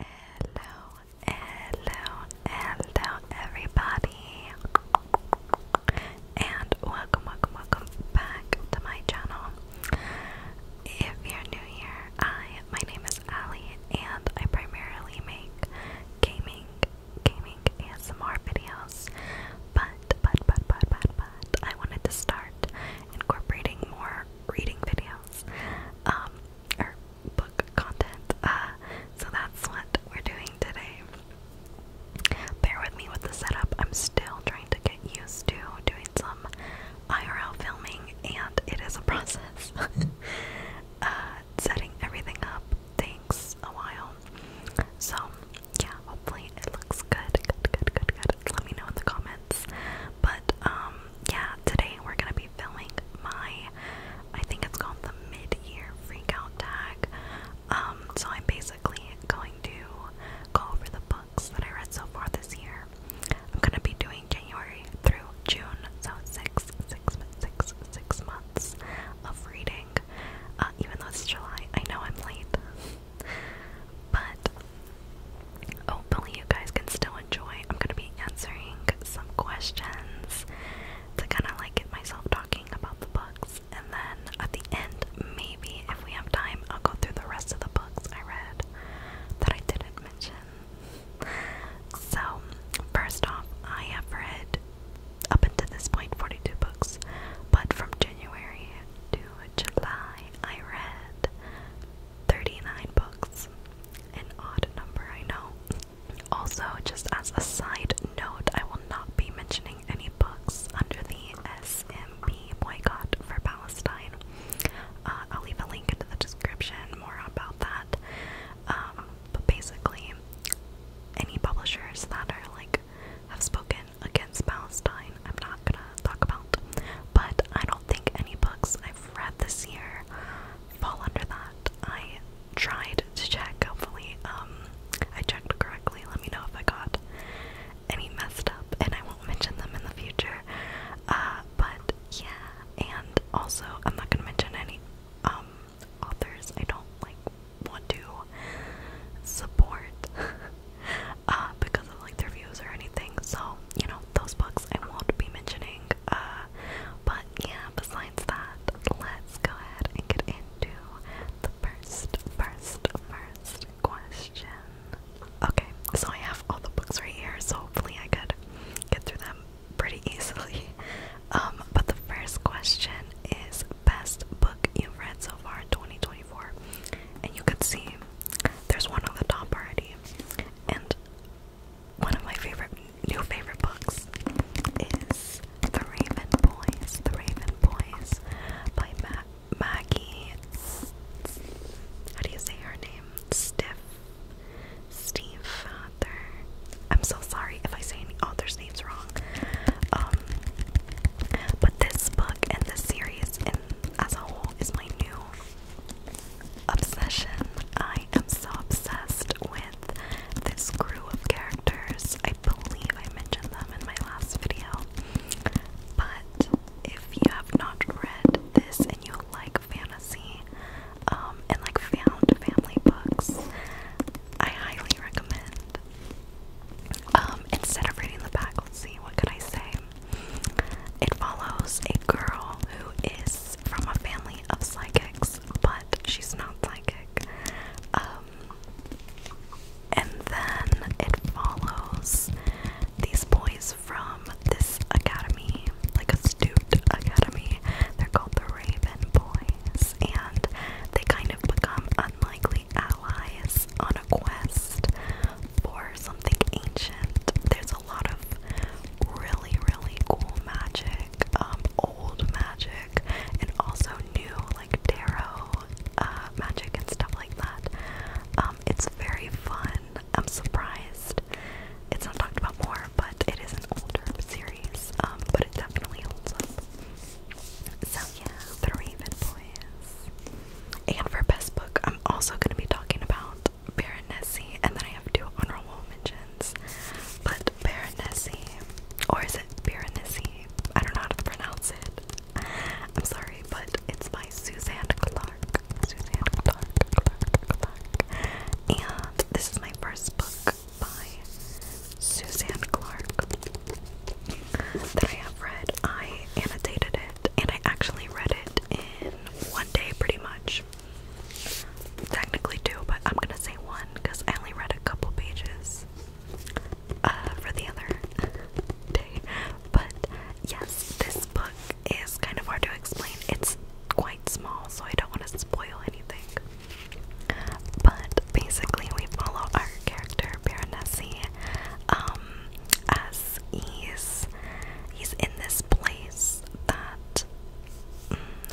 Hello, hello, hello, everybody, and welcome, welcome, welcome back to my channel. If you're new here, I my name is Ali, and I primarily make gaming, gaming ASMR videos. But, but, but, but, but, but, I wanted to start incorporating more reading videos. Um, or book content. Uh, so that's what we're doing today. Bear with me with the setup. I'm still trying to get used to doing some IRL filming, and it is a process. Uh, setting everything up takes a while. So, yeah, hopefully it looks good. Good, good, good, good. Let me know in the comments. But, um, yeah, today we're gonna be filming my, I think it's called the mid-year freakout tag. Um, so I'm basically going to go over the books that I read so far this year. I'm gonna be doing January through June, so six, six, six, six months of reading. Uh, even though it's July, I know I'm late, but Hopefully, you guys can still enjoy. I'm gonna be answering some questions to kind of like get myself talking about the books, and then at the end, maybe if we have time, I'll go through the rest of the books I read that I didn't mention. So, first off, I have read up until this point 42 books, but from January to July, I read 39 books. An odd number, I know. Also, just as a side note, I will not be mentioning any books under the SMP boycott for Palestine. Uh, I'll leave a link into the description more about that. Um, but basically, any publishers that are like have spoken against Palestine, I'm not gonna talk about. But I don't think any books I've read this year fall under that. I tried to check, hopefully, um, I checked correctly. Let me know if I got any messed up, and I won't mention them in the future. Uh, but yeah, and also, I'm not gonna mention any, um, authors I don't like want to support, uh, because of like their views or anything. So, you know those books I won't be mentioning. Uh, but yeah, besides that, let's go ahead and get into the first, first, first question. Okay, so I have all the books right here, so hopefully I could get through them pretty easily. Um, but the first question is best book you've read so far in 2024, and you can see there's one on the top already, and one of my favorite new favorite books is The Raven Boys, The Raven Boys by Matt Maggie. How do you say her name? Stiff. Steve Father. I'm so sorry if I say any author's name wrong. Um, but this book and this series, and as a whole, is my new obsession. I am so obsessed with this crew of characters. I believe I mentioned them in my last video. But if you have not read this and you like fantasy um, and like found family books, I highly recommend. Um, instead of reading the back, let's see, what could I say? It follows a girl who is from a family of psychics, but she's not psychic. Um, and then it follows these boys from this academy, like a student academy. They're called the Raven Boys, and they kind of become unlikely allies on a quest for something ancient a lot of really, really cool magic, um, old magic, and also new like tarot uh, magic and stuff like that. Um, it's very fun. I'm surprised it's not talked about more, but it is an older series, um, but it definitely holds up. So yeah, The Raven Boys. And for best book, I'm also going to be talking about Baronessy, and then I have two honorable mentions. But Baronessy, or is it Baronessy? I don't know how to pronounce it. I'm sorry, but it's by Suzanne Clark. Suzanne Clark. And this is my first book by Suzanne Clark that I have read. I annotated it, and I actually read it in one day pretty much. Technically two, but I'm gonna say one because I only read a couple pages uh, for the other day. But yes, this book is kind of hard to explain. It's quite small, so I don't want to spoil anything. But basically, we follow our character Baronessy, um, as he's he's in this place that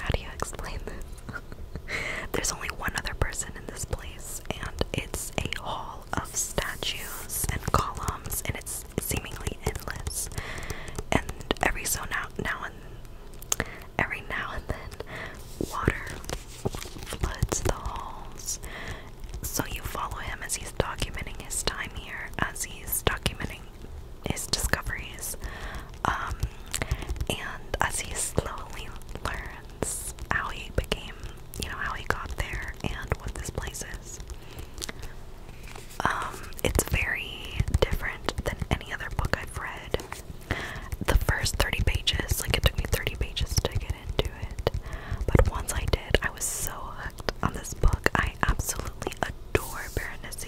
how do you explain this? There's only one other person in this place, and it's a hall of statues and columns, and it's seemingly endless. And every so now, now and every now and then, water floods the halls. So you follow him as he's documenting his time here, as he's documenting his discoveries. Um, and as he slowly learns how he became, you know, how he got there and what this place is. Um, it's very different than any other book I've read. The first 30 pages, like it took me 30 pages to get into it. But once I did, I was so hooked on this book. I absolutely adore Berenice.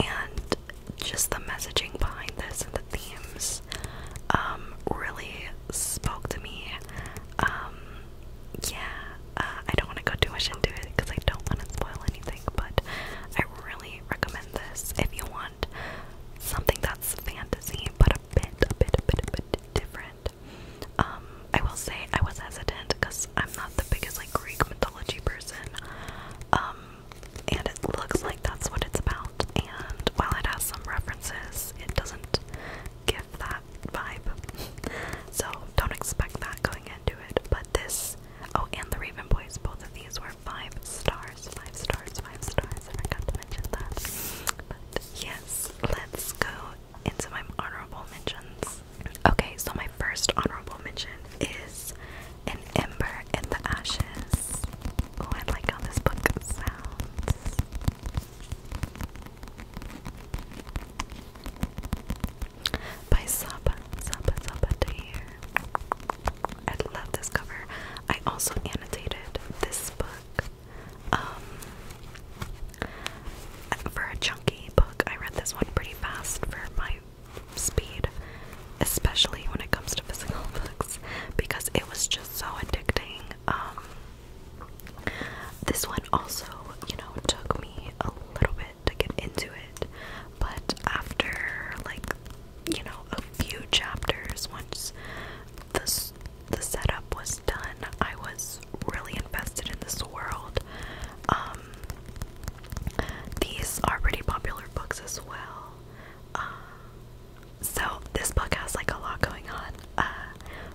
And just the messaging behind this and the themes um, really spoke to me. Um, yeah, uh, I don't want to go too much into it because I don't want to spoil anything, but I really recommend this if you want something that's fantasy but a bit, a bit, a bit, a bit different. Um, I will say I was hesitant because I'm not the biggest like Greek mythology person. Um, and it looks like that's what it's about. And while it has some references, it doesn't give that vibe. so don't expect that going into it. But this, oh, and the Raven Boys, both of these were five stars, five stars, five stars. I forgot to mention that. But yes, let's go into my honorable mentions. Okay, so my first honorable mention is An Ember in the Ashes. Oh, I like how this book sounds. By Saba, Saba, Saba Tahir. I love this cover. I also annotated this book. Um, for a chunky book, I read this one pretty fast for my speed, especially when it comes to physical books, because it was just so addicting. Um, this one also, you know, took me a little bit to get into it, but after like you know a few chapters, once the the setup was done, I was really invested in this world. Um, these are pretty popular books as well. Uh, so this book has like a lot going on, uh,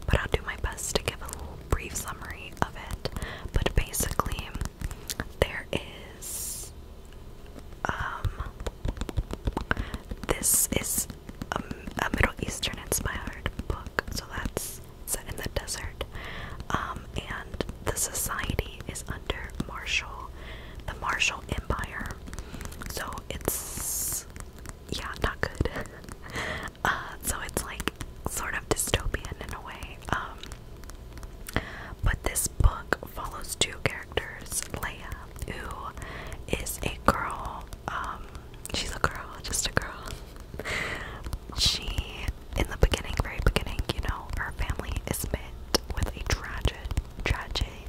but I'll do my best to give a little brief summary of it. But basically, there is um this is a, Middle Eastern inspired book, so that's set in the desert. Um, the society is under Marshall, the Marshall Empire. So it's yeah, not good. uh, so it's like sort of dystopian in a way. Um, but this book follows two characters, Leia, who is a girl. Um, she's a girl, just a girl. she in the beginning, very beginning, you know, her family is met with a tragic, tragedy.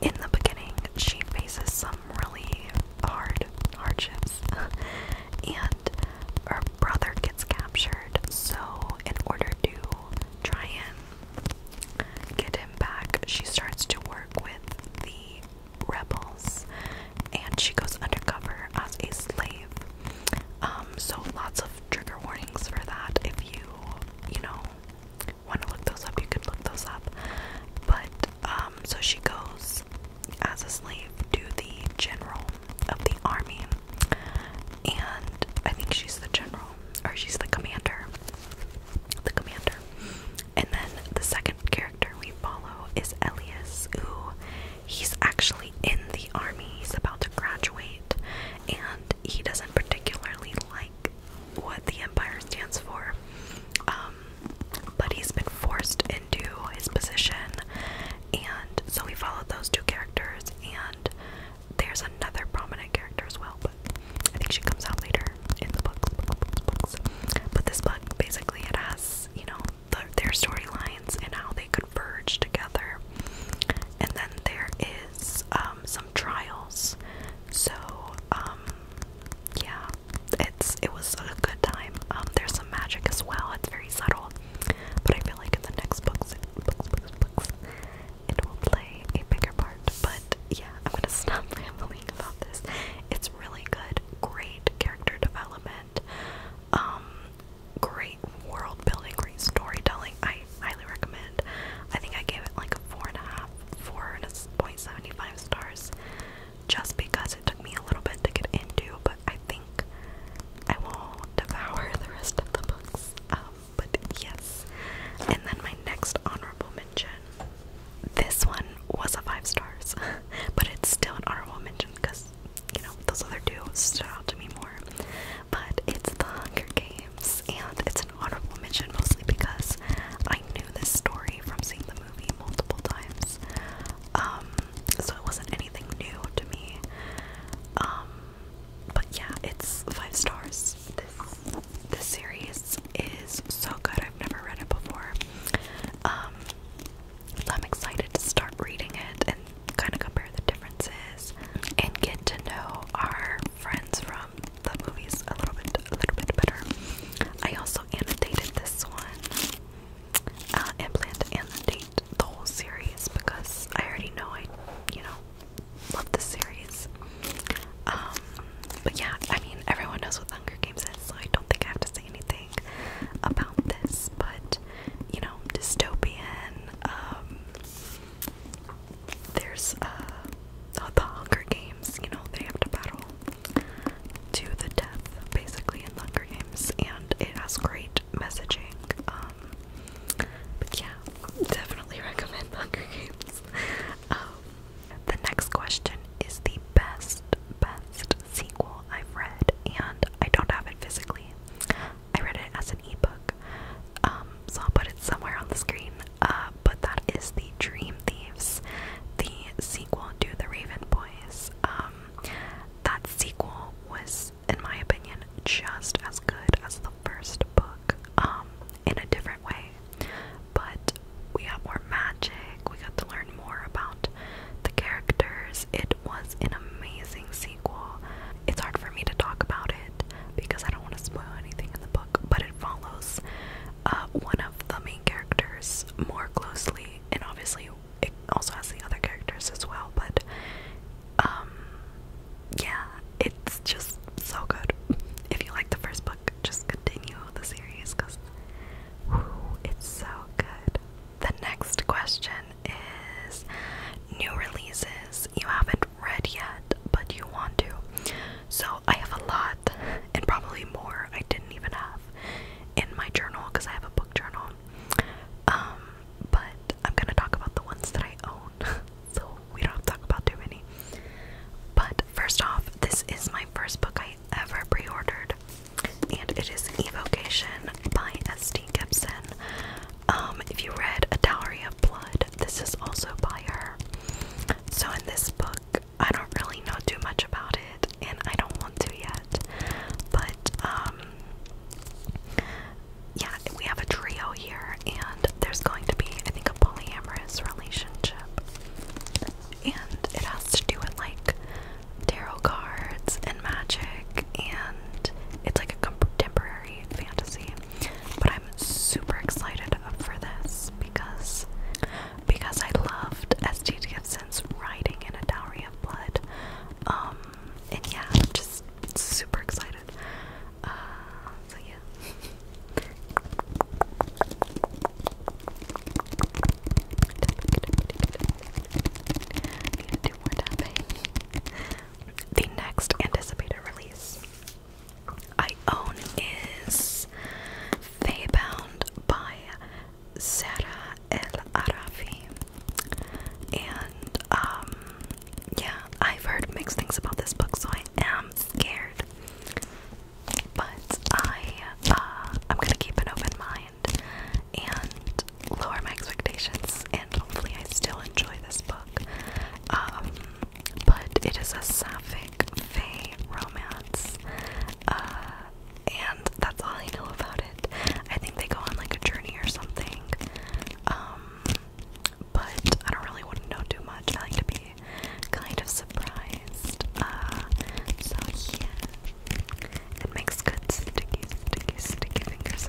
In the beginning, she faces some really hard hardships, and her brother gets captured. So, in order to try and get him back, she starts to work with the rebels and she goes undercover as a slave um, so lots of trigger warnings for that. If you, you know, want to look those up, you could look those up. But um, so she goes as a slave to the general of the army, and I think she's the general or she's the commander. The commander, and then the second character we follow is Elias, who he's actually in the army, he's about to graduate, and he doesn't particularly like what the Empire stands for. Um, but he's been forced into his position, and so we followed those two characters, and there's another prominent character as well, but I think she comes out later in the books. But this book basically it has, you know, the, their storylines and how they converge together. And then there is um, some trials. So um, yeah, it's it was a good time. Um, there's some magic as well. It's very subtle, but I feel like in the next books, books, books, books, it will play a bigger part. But yeah, I'm gonna stop rambling about this. It's really good. Great character development um great world building great storytelling i highly recommend i think i gave it like a four and a half four and a point seventy five stars just because it took me a little bit to get into but i think i will devour the rest of the books um, but yes and then my next honorable mention this one was a five stars but it's still an honorable mention because you know, those other two stood out to me more. But it's the Hunger Games, and it's an honorable mention mostly because I knew this story from seeing the movie multiple times. Um, so it wasn't anything new to me. Um, but yeah, it's five stars. This this series is so good. I've never read it before. Um, I'm excited to start reading it and kind of compare the differences and get to know our friends from the movies a little bit a little bit better. I also annotated this one uh, and plan to annotate the whole series because I already know I, you know, love the series. Um, but yeah, I mean, everyone knows what Hunger Games is, so I don't think I have to say anything about this. But you know, dystopian. Um, there's uh, the, Hunger Games, you know, they have to battle to the death basically in Hunger Games, and it has great messaging. Um, but yeah, definitely recommend Hunger Games. Um, the next question is the best, best sequel I've read, and I don't have it physically. I read it as an ebook, um, so I'll put it somewhere on the screen. Uh, but that is the Dream Thieves, the sequel to the Raven Boys. Um, that sequel was, in my opinion, just as good as the first book, um, in a different way. But we got more magic, we got to learn more about the characters it was an amazing sequel. It's hard for me to talk about it because I don't want to spoil anything in the book, but it follows uh, one of the main characters more closely, and obviously it also has the other characters as well, but um, yeah, it's just so good. If you like the first book, just continue the series because it's so good the next question is new releases you haven't read yet, but you want to. So I have a lot, and probably more I didn't even have in my journal because I have a book journal. Um, but I'm gonna talk about the ones that I own, so we don't have to talk about too many. But first off, this is my first book I ever pre ordered, and it is Evocation by S.D. Gibson. Um, if you read A Dowry of Blood, this is also by her. So in this book, I don't really know too much about it, and I don't want to yet. But um, yeah, we have a trio here, and there's going to be, I think, a polyamorous relationship. And it has to do with like tarot cards and magic and it's like a contemporary fantasy. But I'm super excited for this because because I loved S.T. Gibson's writing in A Dowry of Blood. Um, and yeah, I'm just super excited. Uh, so yeah. The next anticipated release I own is Feybound by Sarah El Arafi. And um yeah, I've heard mixed things about this book, so I am scared. But I uh I'm gonna keep an open mind and lower my expectations, and hopefully, I still enjoy this book. Um, but it is a sapphic romance, uh, and that's all I know about it. I think they go on like a journey or something. Um, but I don't really want to know too much. I like to be kind of surprised. Uh, so yeah. It makes good sticky, sticky, sticky fingers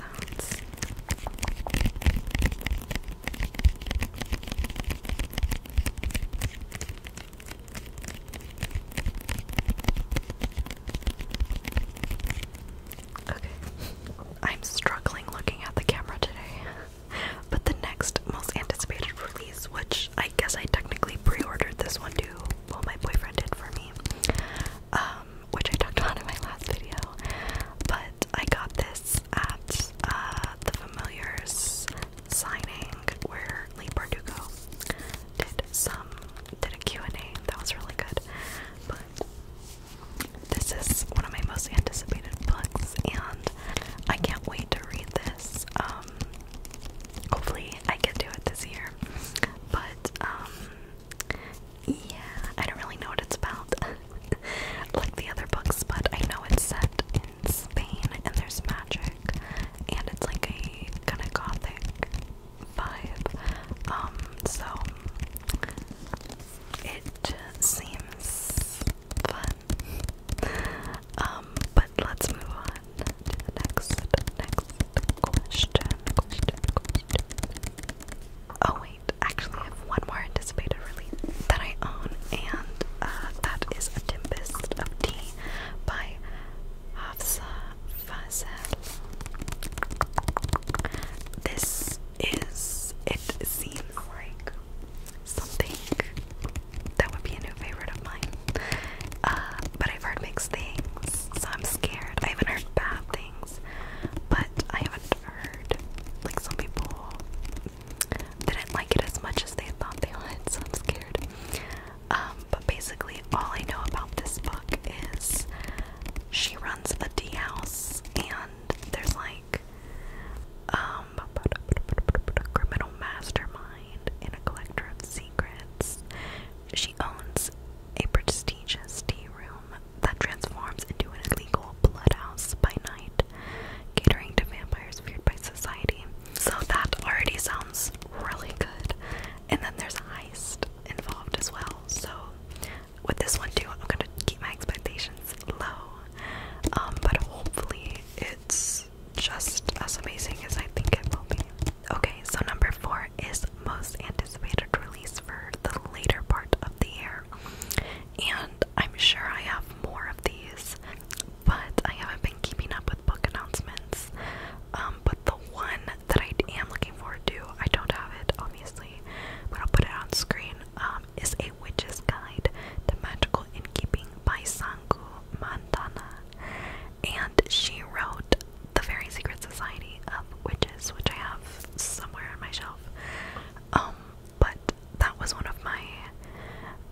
Okay. I'm struggling looking at the camera today. but the next most anticipated release, which I guess I technically pre-ordered this one too, well my boyfriend did for me. Um which I talked about in my last video. But I got this at uh, the Familiars signing where Lee Bardugo did some did a Q&A that was really good. But this is one of my most anticipated books, and I can't wait to read this. Um, hopefully, I can do it this year. But um, yeah, I don't really know what it's about, like the other books, but I know it's set in Spain and there's magic, and it's like a kind of gothic vibe. Um, so it seems fun. Um, but let's move on to the next, next question. Question. Question. Oh Actually, I have one more anticipated release that I own, and uh, that is A Tempest of Tea by Hafsa Fazel. This is, it seems like something that would be a new favorite of mine. Uh, but I've heard mixed things, so I'm scared. I haven't heard bad things, but I haven't heard like some people didn't like it as much as they thought they would, so I'm scared. Um, but basically, all I know about this book is she runs a tea house, and there's like um a criminal mastermind and a collector of secrets. She owns a prestigious tea room that transforms into an illegal bloodhouse by night, catering to vampires feared by society. So that already sounds really good. And then there's a heist involved as well. So with this one too, I'm gonna keep my expectations low. Um, but hopefully it's just as amazing as I think it will be. Okay, so number four is most anticipated release for the later part of the year. And I'm sure I have more of these, but I haven't been keeping up with book announcements. Um, but the one that I am looking forward to, I don't have it obviously, but I'll put it on screen, um, is A Witch's Guide to Magical Innkeeping by Sangu Montana. And she wrote The Very Secret Society of Witches, which I have somewhere on my shelf. Um, but that was one of my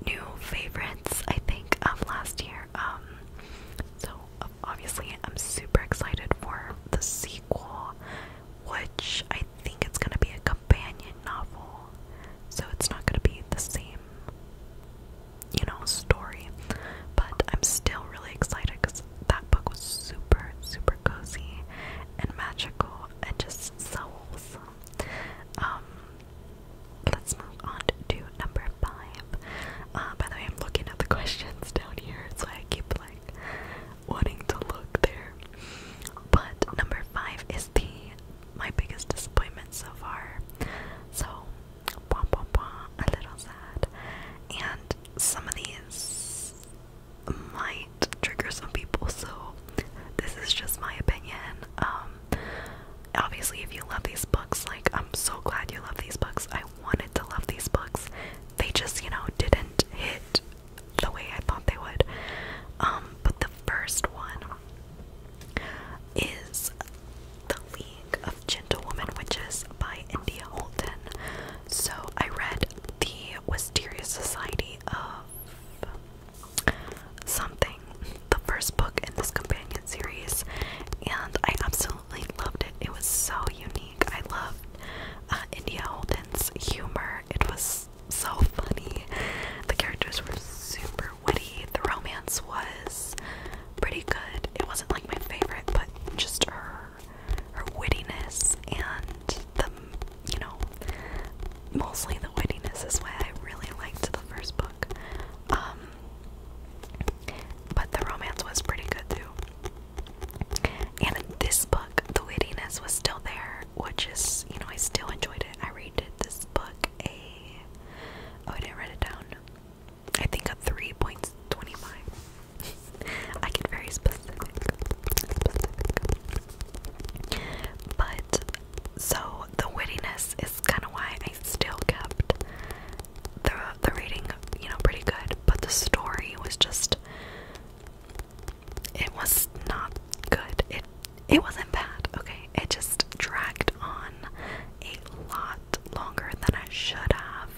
new favorites, I think, of last year. Um, so obviously, I'm super excited for the sequel, which I think it's gonna be a companion novel. So it's not gonna be the same, you know, story. But I'm still really excited because that book was super, super cozy and magical and just souls. Um, let's move on to number five. Uh, by the way, I'm looking at the questions down here, so I keep like wanting to look there. But number five is the my biggest disappointment so far. So, wah, wah, wah, a little sad. And some of these might trigger some people, so this is just my opinion. Um, obviously, if you love these books, like, I'm so glad you love these books. I wanted to love these books, they just, you know, didn't hit the way I thought they would. Um, but the first one is The League of Gentlewomen Witches by India Holton. So I read the Wisteria Society of something, the first book in this companion series, and I absolutely loved it. It was so unique. I loved uh, India Holden's humor. It was so funny. The characters were super witty. The romance was pretty good. It wasn't like my favorite, but just her her wittiness and the you know mostly the wittiness is why I really liked the first book. Um, but the romance was pretty good too. And this book the wittiness was still there, which is you know, I still enjoyed it. I rated this book a oh I didn't write it down. I think a three point twenty five. I get very specific, specific. But so the wittiness is kind of why I still kept the the reading, you know, pretty good. But the story was just it was not good. It it wasn't bad. Okay, it just dragged on a lot longer than I should have,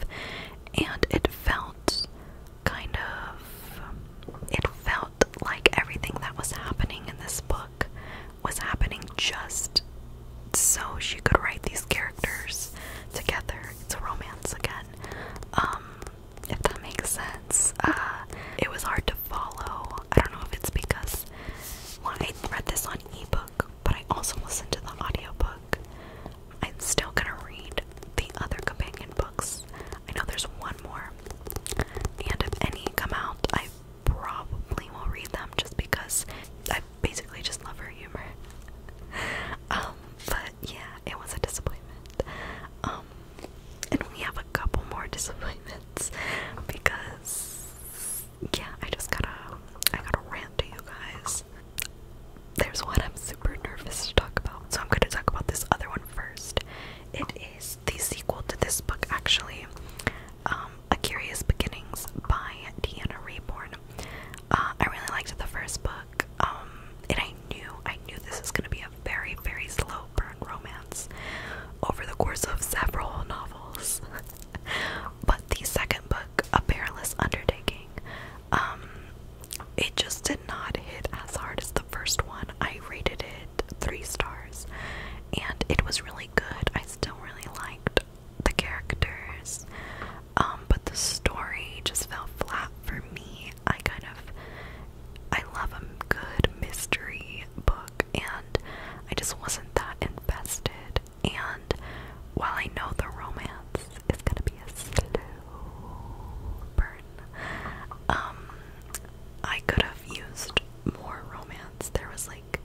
and it felt kind of it felt like everything that was happening in this book was happening just so she could write these characters together. It's a romance again. Um, if that makes sense. Uh, it was hard to follow. I don't know if it's because I read this on ebook, but I also listened to the audio book. I'm still gonna read the other companion books I know there's one more. And if any come out, I probably will read them just because I basically just love her humor. Um, but yeah, it was a disappointment. Um, and we have a couple more disappointments because yeah, I just gotta I gotta rant to you guys. There's one I'm super nervous to talk about, so I'm going to talk about this other one first. It is the sequel to this book, actually, um, A Curious Beginnings by Diana Reborn. Uh, I really liked the first book, um, and I knew, I knew this was going to be a very, very slow burn romance over the course of several novels. but the second book, A Perilous Undertaking, um, it just did not hit as hard as the first one. I rated it three stars and it was really good. I still really liked the characters, um, but the story just fell flat for me. I kind of I love a good mystery book and I just wasn't that invested and while I know the romance is gonna be a slow burn um, I could have used more romance. There was like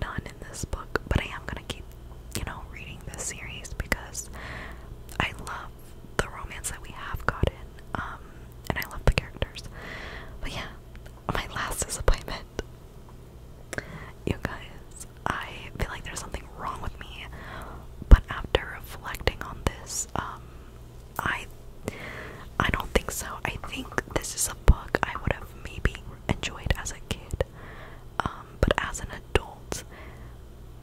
none in this book, but I am gonna keep, you know, reading this series because I love the romance that we have gotten. Um, and I love the characters. But yeah, my last disappointment. You guys, I feel like there's something wrong with me, but after reflecting on this, um, I I don't think so. I think this is a book I would have maybe enjoyed as a kid. Um, but as an adult,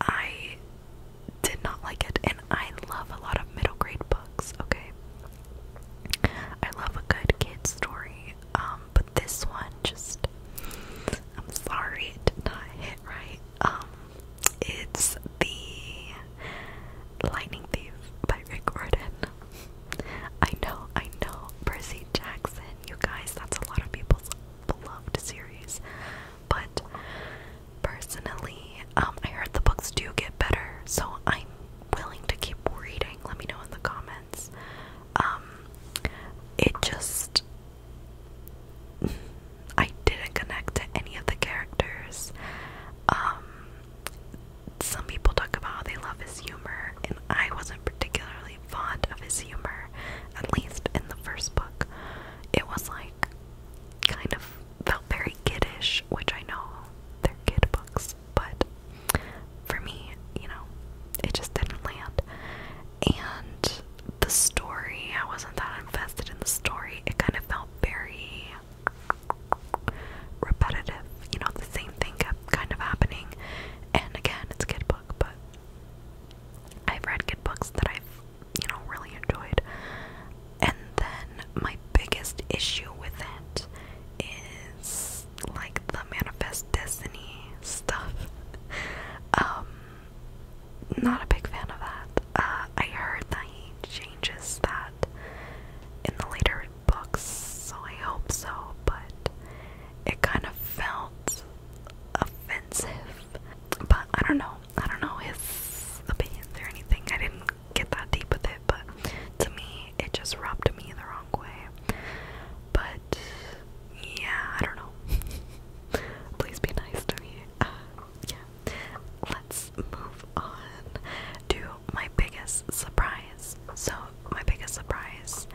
I did not like it. And I love a lot of middle grade books, okay? I love a good kid story. Um, but this one just I'm sorry it did not hit right. Um, it's the Lightning Thief by Rick Gordon. I know, I know. Percy Jackson, you guys, that's a lot of people's beloved series. But personally, um, I heard the books do get better, so I'm willing to keep reading. Let me know in the comments. Um, it just I didn't connect to any of the characters. Um, some people talk about how they love his humor, and I wasn't particularly fond of his humor, at least in the first book. It was like kind of felt very kiddish, which I know they're kid books, but for me, you know, it just didn't land. And the story, I wasn't that invested in the story. It kind of felt very repetitive. You know, the same thing kind of happening. And again, it's a book, but I've read good books that I've, you know, really enjoyed. And then my biggest issue with it is like the manifest destiny stuff. Um, not a big fan of that. Uh, I heard that he changes that in the later books, so I hope so, but it kind of felt offensive. But I don't know. I don't know his opinions or anything. I didn't get that deep with it, but to me, it just rubbed me the wrong way. But yeah, I don't know. Please be nice to me. Uh, yeah, let's move on to my biggest surprise. So, my biggest surprise.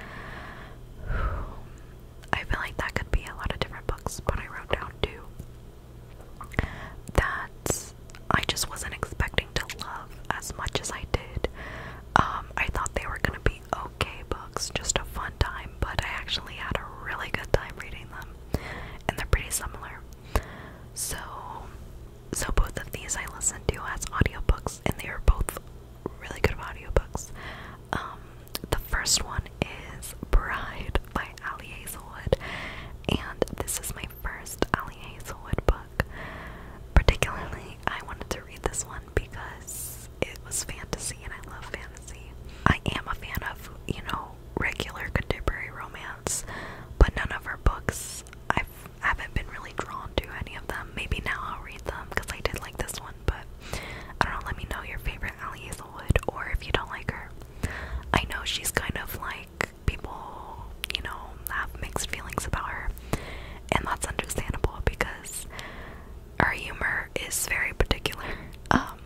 I feel like that could be a lot of different books, but I wrote down two that I just wasn't expecting to love as much as I did. Um, I thought they were gonna be okay books, just a fun time, but I actually had a really good time reading them, and they're pretty similar. So so both of these I listen to as audiobooks and they are both really good audiobooks. Um, the first one is Bride by Ali Hazelwood and this is my first Ali Hazelwood book. Particularly I wanted to read this one because it was fantasy and I love fantasy. I am a fan of, you know, regular contemporary romance but none of her books I haven't been really drawn to any of them. Maybe now I'll read them because I did like this one, but I don't know. Let me know your favorite Allie Hazelwood, or if you don't like her. I know she's kind of like people, you know, have mixed feelings about her, and that's understandable because her humor is very particular. Um,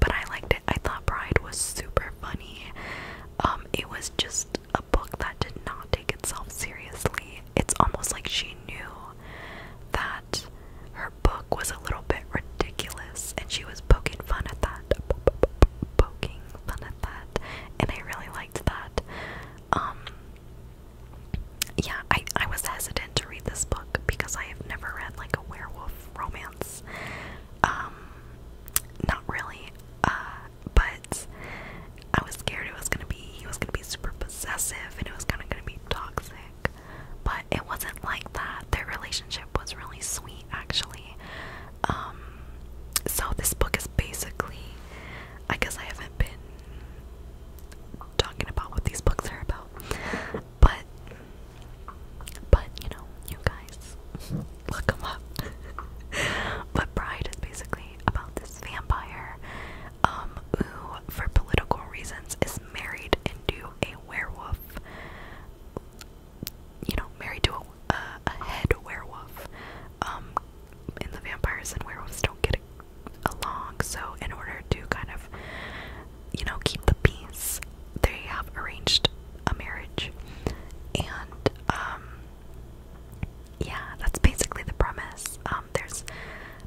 but I liked it. I thought Bride was super funny. Um, it was just a book that did not take itself seriously. It's almost like she knew that her book was a little bit ridiculous and she was poking fun at that. Poking fun at that. And I really liked that. Um, yeah, I, I was hesitant to read this book because I have never read like a werewolf romance. Um, not really. Uh, but I was scared it was gonna be he was gonna be super possessive and it was kinda gonna be toxic. But it wasn't like that. Their relationship was really sweet actually. Um so this book is basically I guess I haven't been talking about what these books are about. But but you know, you guys look them up. but Bride is basically about this vampire um, who, for political reasons, is married into a werewolf. You know, married to a, head werewolf. Um, and the vampires and werewolves don't get along. So, in order to kind of, you know, keep the peace, they have arranged a marriage, and um, yeah, that's basically the premise. Um, there's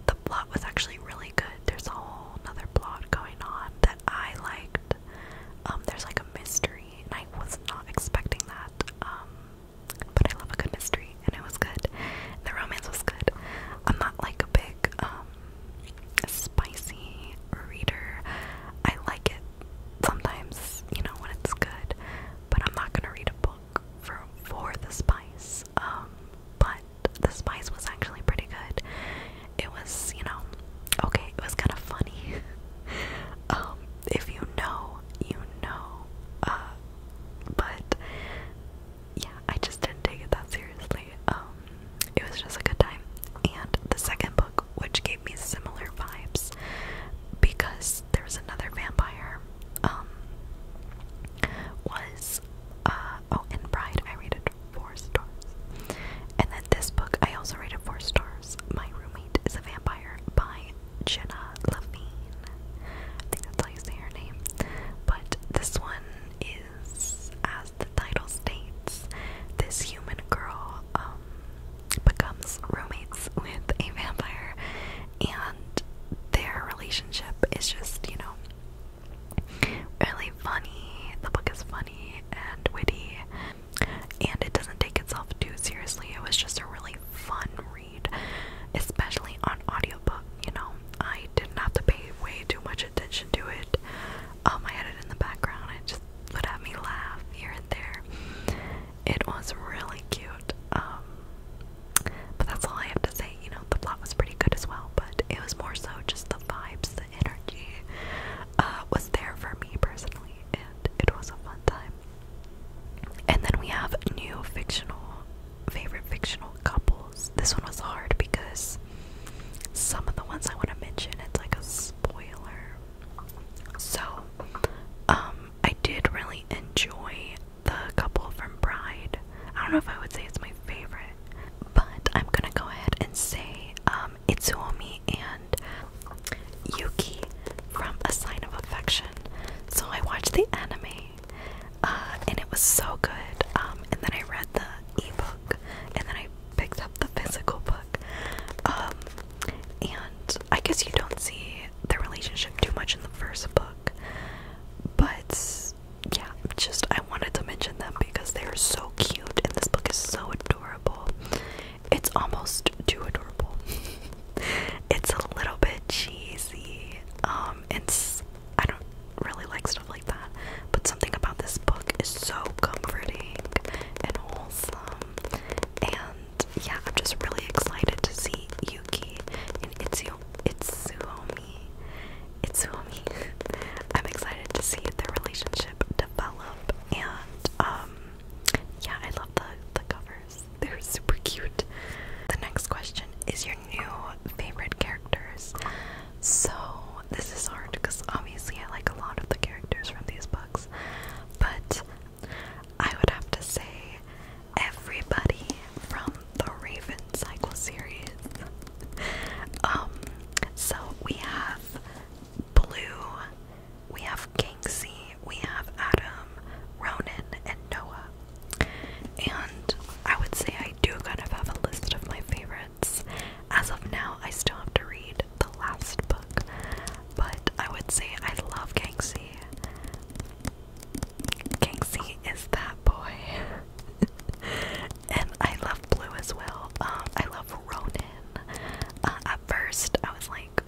the plot was actually really good. There's a whole another plot going on that I liked. Um, there's like a mystery, and I was not expecting that. Um, but I love a good mystery, and it was good. The romance was good. I'm not like a big um, spicy reader. I like it sometimes, you know, when it's good, but I'm not gonna read a book for for the spice. Um, but the spice was actually pretty good. It was, you know, okay, it was kind of funny. Um, if you know, you know. Uh, but yeah, I just didn't take it that seriously. Um, it was just a good time. And the second book which gave me similar vibes because there's another vampire. Um, was uh, oh, in Bride I rated four stars, and then this book I also rated four stars. My roommate is a vampire by Jenna Levine. I think that's how you say her name. But this one is, as the title states, this human girl um, becomes roommates with a vampire, and their relationship is just, you know, really funny. The book is funny and witty, and it doesn't take itself too seriously. It was just a really fun read, especially on audiobook, you know. I didn't have to pay way too much attention to it. Um, oh, I had it in the background. It just would have me laugh here and there. It was really cute. Um, but that's all I have to say. You know, the plot was pretty good as well, but it was more so just the vibes, the energy uh, was there for me personally, and it was a fun time. And then we have new fictional, favorite fictional couples. This one was hard because some of the ones I want to mention, it's like a spoiler so, um, I did really enjoy the couple from Bride. I don't know if I would say it's my favorite, but I'm gonna go ahead and say um, Itsuomi and Yuki from A Sign of Affection. So I watched the anime, uh, and it was so good. Um, and then I read the ebook, and then I picked up the physical book. Um, and I guess you don't see the relationship too much in the first book, but yeah, just I wanted to mention them because they are so cute, and this book is so adorable. It's almost too adorable. it's a little bit cheesy. Um, it's I don't really like stuff like that, but something about this book is so comforting and wholesome and yeah, I'm just really excited to see Yuki and Itsu Itsuomi. Itsuomi. I'm excited to see their relationship develop, and um, yeah, I love the the covers. They're super cute. The next question is your new favorite characters. So this is hard because obviously I like a lot of the characters from these books, but I would have to say everybody from the Raven Cycle series. um, so we have Blue, we have Kingsley, we have Adam, Ronan, and Noah. And I would say I do kind of have a list of my favorites. As of now, I still have to read the last book, but I would say I love Kangxi. Kangxi is that boy. and I love Blue as well. Um, I love Ronin. Uh, at first, I was like,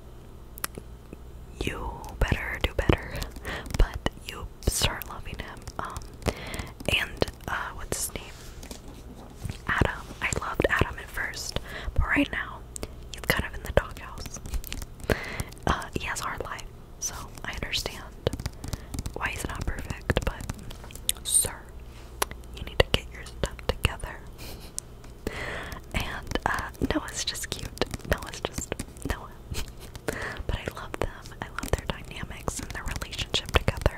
you better do better. But you start loving him. Um, and, uh, what's his name? Adam. I loved Adam at first, but right now he's kind of in the doghouse. Uh, he has a hard life, so I understand why he's not perfect, but sir, you need to get your stuff together. and uh, Noah's just cute. Noah's just Noah. but I love them. I love their dynamics and their relationship together.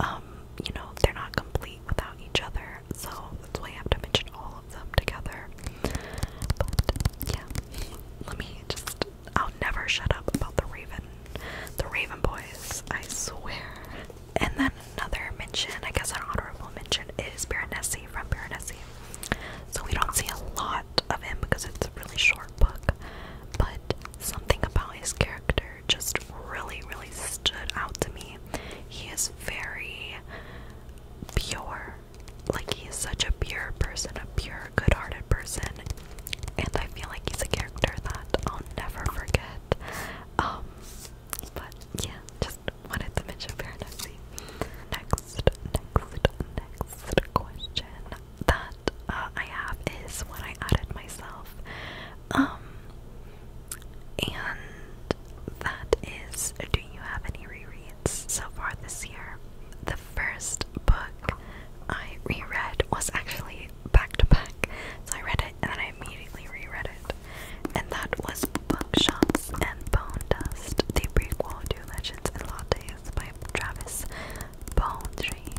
Um, you know, they're not complete without each other so that's why I have to mention all of them together. But yeah, let me just. I'll never shut up about the Raven, the Raven Boys. I swear. And then another mention, I guess an honorable mention, is Baronessy from Baronessy. So we don't see a lot of him because it's a really short book, but something about his character just really, really stood out to me he is very pure. Like, he is such a pure person, a pure, good hearted person. And I feel like he's a character that I'll never forget. Um, but yeah, just wanted to mention Paradise. Next, next, next question that uh, I have is one I added myself. Um, and that is Do You Have Any Rereads so far this year? The first book I reread was actually back to back. So I read it and then I immediately reread it. And that was Bookshots and Bone Dust, the prequel to Legends and Lattes by Travis Baldry.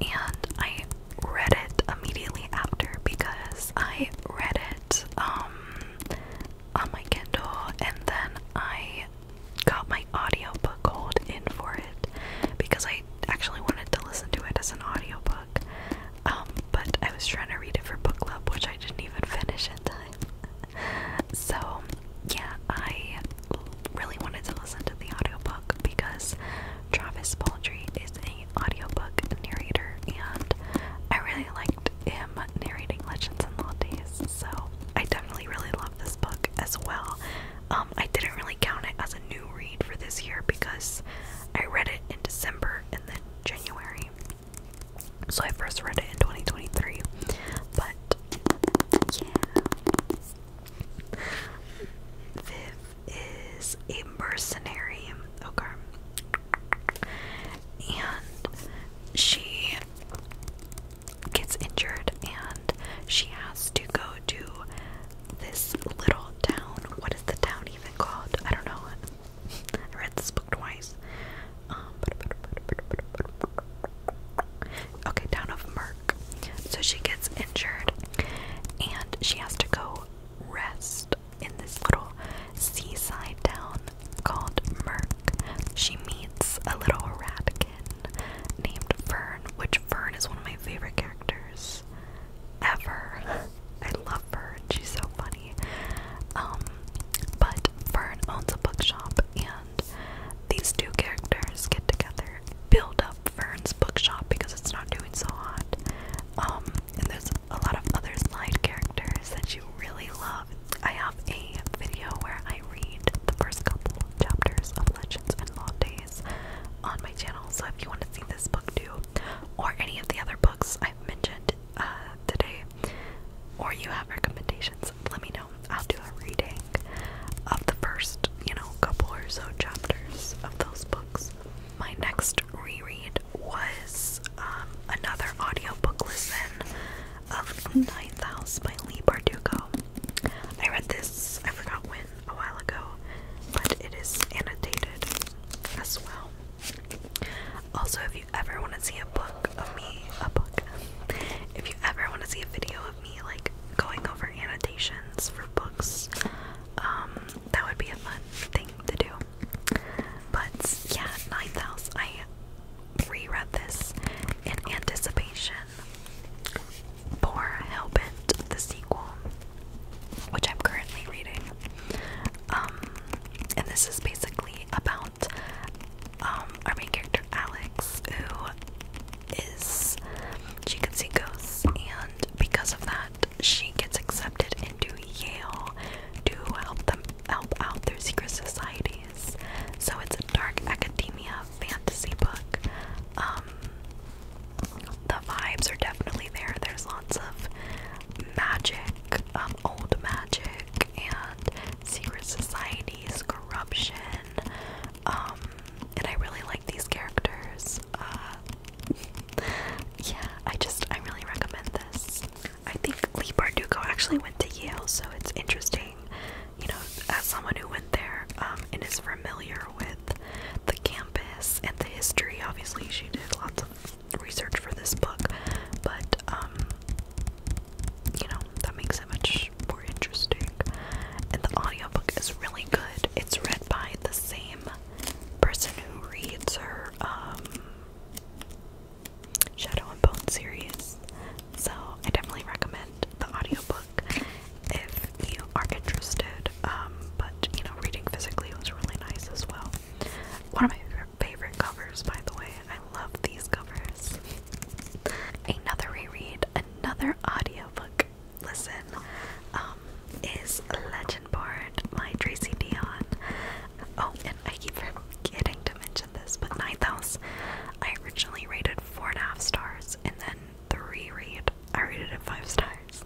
And I read it immediately after because I read it um on my Kindle and then I got my audiobook hold in for it because I actually wanted to listen to it as an audiobook. Um but I was trying to read it for book club which I didn't even finish in time. so yeah, I really wanted to listen to the audiobook because Travis Baldry is an audiobook narrator, and I really liked him narrating Legends and Days, so I definitely really love this book as well. Um, I didn't really count it as a new read for this year because I read it in December and then January. So I first read it in 2023. But yeah is a mercenary, okay, and she gets injured and she has to go to this little town. What is the town even called? I don't know. I read this book twice. Um, okay, town of Merk. So she gets injured and she has to go rest in this little seaside town called Merk. She meets a little ratkin named Fern, which Fern is one of my favorite characters ever. I love Fern, she's so funny. Um, but Fern owns a bookshop, and these two characters get together, build up Fern's bookshop because it's not doing so hot. Um, and there's a lot of other side characters that you really love. I have a video where I read the first couple of chapters of Legends and Days* on my channel, so if you want to see this book too, or any of the other books I've mentioned uh, today, or you have recommendations, let me know. I'll do a reading of the first, you know, couple or so chapters of those books my next reread was um, another audiobook listen of Ninth House by Lee Bardugo. I read this, I forgot when, a while ago, but it is annotated as well. Also, if you ever want to see a book of me, a book, if you ever want to see a video of me like going over annotations for books, um, that would be a fun thing to do. But yeah, Ninth House. I reread this in anticipation for Hellbent, the sequel, which I'm currently reading. Um, and this is basically about um, our main character Alex, who is she can see ghosts, and because of that, she gets accepted into Yale to help them help out their secret societies. So it's a dark academia fantasy book. Um, the vibes are definitely there. There's lots of magic, um, old magic, and secret societies, corruption. Um, and I really like these characters. Uh, yeah, I just I really recommend this. I think Lee Bardugo actually went to Yale, so it's interesting, you know, as someone who went there um, and is familiar with the campus and the history. Obviously, she did lots of research for this book, but um, you know, that makes it much more interesting. And the audiobook is really good. It's read by the same person who reads her um, Shadow and Bone series. So I definitely recommend the audiobook if you are interested. Um, but you know, reading physically was really nice as well. One of my favorite covers, by the way. I love these covers. Another reread, another audiobook listen, um, is Legend my Tracy Dion. Oh, and I keep forgetting to mention this, but Ninth House, I originally rated four and a half stars, and then the reread, I rated it five stars.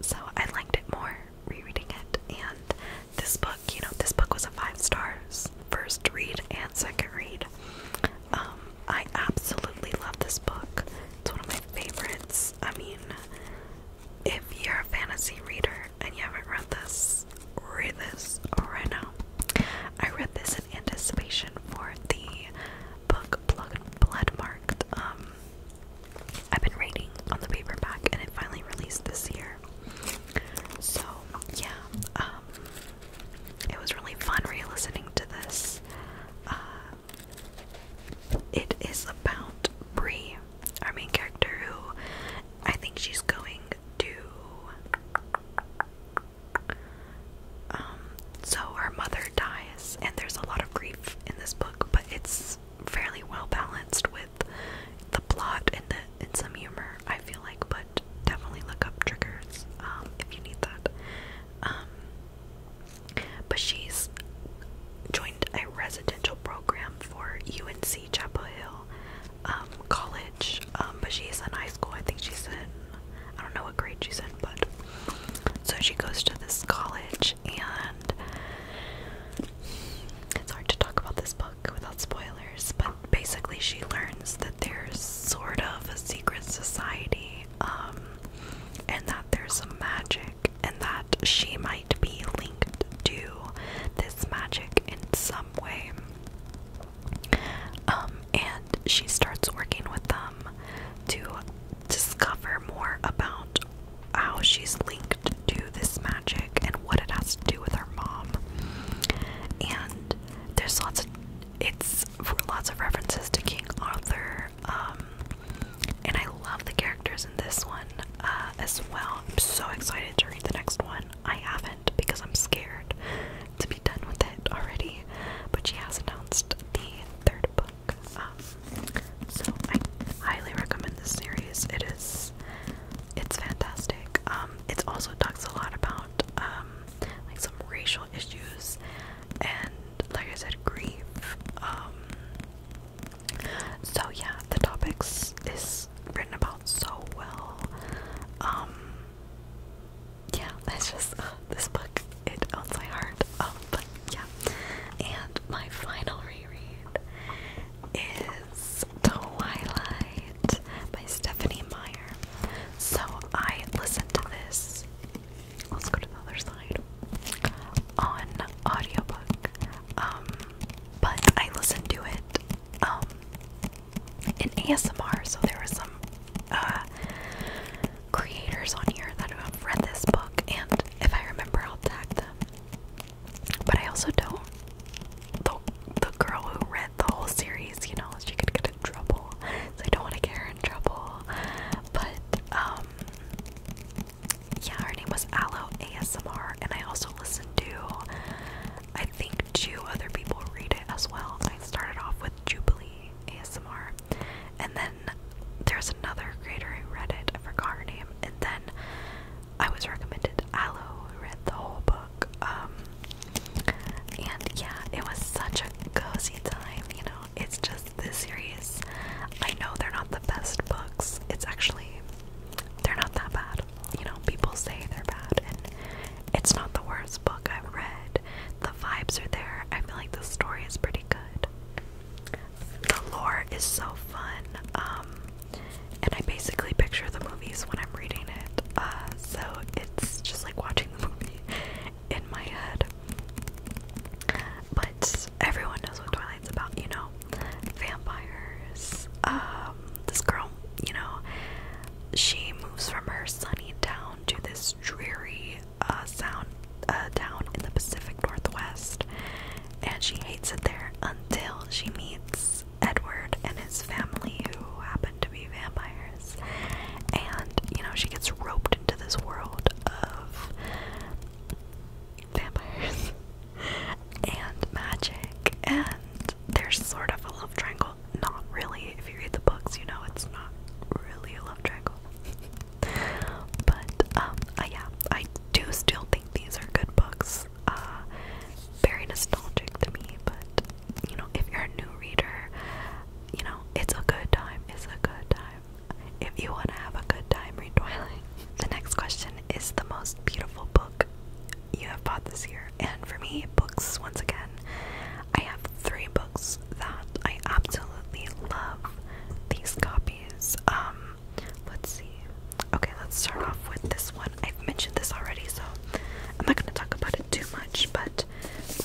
So I liked it more rereading it, and this book, you know, this book was a five stars first read and second read. Um, I absolutely love this book. It's one of my favorites. I mean, if you're a fantasy reader, and you haven't read this, read this right now. I read this in anticipation for the book Blood Bloodmarked. Um, I've been reading on the paperback, and it finally released this year. So yeah, um, it was really fun re-listening to this. Uh, it is about Bree, Amy, our main character, who I think she's going to. Um, so her mother dies, and there's a lot of grief in this book, but it's fairly well balanced with the plot and the and some humor. I feel like, but definitely look up triggers um, if you need that. Um, but she's joined a residential program program for UNC Chapel Hill um, College, um, but she's in high school. I think she's in, I don't know what grade she's in, but so she goes to this college, and it's hard to talk about this book without spoilers, but basically, she learns that there's sort of a secret society, um, and that there's some magic and that she might be linked to this magic in some way. Um, and she starts working with them to discover more about how she's linked to this magic and what it has to do with her mom. And there's lots of it's lots of references to King Arthur. Um, and I love the characters in this one uh, as well. I'm so excited to read the next one. I haven't because I'm scared to be done with it already, but she has announced the third book. Um, so I highly recommend this series. It is, it's fantastic. Um, it also talks a lot about um, like some racial issues and, like I said, grief. So yeah, the topics is written about so well. Um, yeah, it's just uh, this book it owns my heart. Oh, but yeah. And my final reread is Twilight by Stephanie Meyer. So I listened to this. Let's go to the other side. On audiobook. Um, but I listened to it um, in ASMR, so there were some uh, creators on here that have read this book, and if I remember, I'll tag them. But I also don't. The, the girl who read the whole series, you know, she could get in trouble, so I don't want to get her in trouble. But, um, yeah, her name was Aloe ASMR, and I also listened to, I think, two other people read it as well. I started off with Jubilee ASMR, and then there's another creator who read it. I forgot her name, and then I was recommended Aloe, read the whole book. Um, and yeah, it was such a cozy time. You know, it's just this series. I know they're not the best books. It's actually they're not that bad. You know, people say they're bad, and it's not the worst book I've read. The vibes are there. I feel like the story is pretty good. The lore is so fun. Um, and I basically picture the movies when I'm reading it. Uh, so it's just like watching the movie in my head. But everyone knows what Twilight's about, you know? vampires. Um, this girl, you know, she moves from her sunny town to this dreary uh, sound uh, in the Pacific Northwest, and she hates it there until she meets Edward and his family, who happen to be vampires. And you know, she gets roped into this world of vampires and magic, and there's sort of a love triangle. Not really, if you read the books, you know it's not really a love triangle. but, um, uh, yeah, I do still think these are good books. Uh, very nostalgic to me, but, you know, if you're a new reader, you know, it's a good time, it's a good time. If you want to have a good time, read The next question is the most beautiful book you have bought this year. And for me, books, once again, I have three books that I absolutely love these copies. Um, let's see. Okay, let's start off with this one. I've mentioned this already, so I'm not going to talk about it too much, but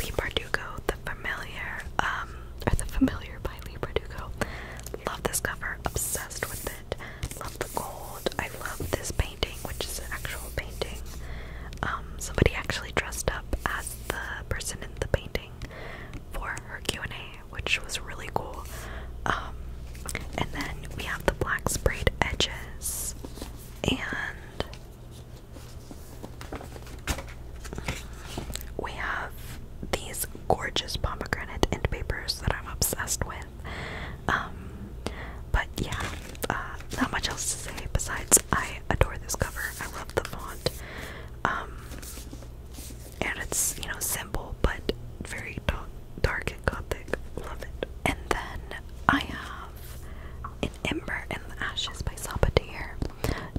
Lee Bardugo, The Familiar, um, The Familiar by Lee Bardugo. Love this cover, obsessed with it it. Love the gold. I love this painting, which is an actual painting. Um, somebody actually dressed up as the person in the painting for her Q&A, which was really cool. Um, and then we have the black sprayed edges and we have these gorgeous pomegranate end papers that I'm obsessed with. Um, but yeah, uh, not much else to say besides I adore this cover. I love the font. Um, and it's, you know, simple but very dark, dark and gothic. Love it. And then I have an Ember in the Ashes by Sabatier.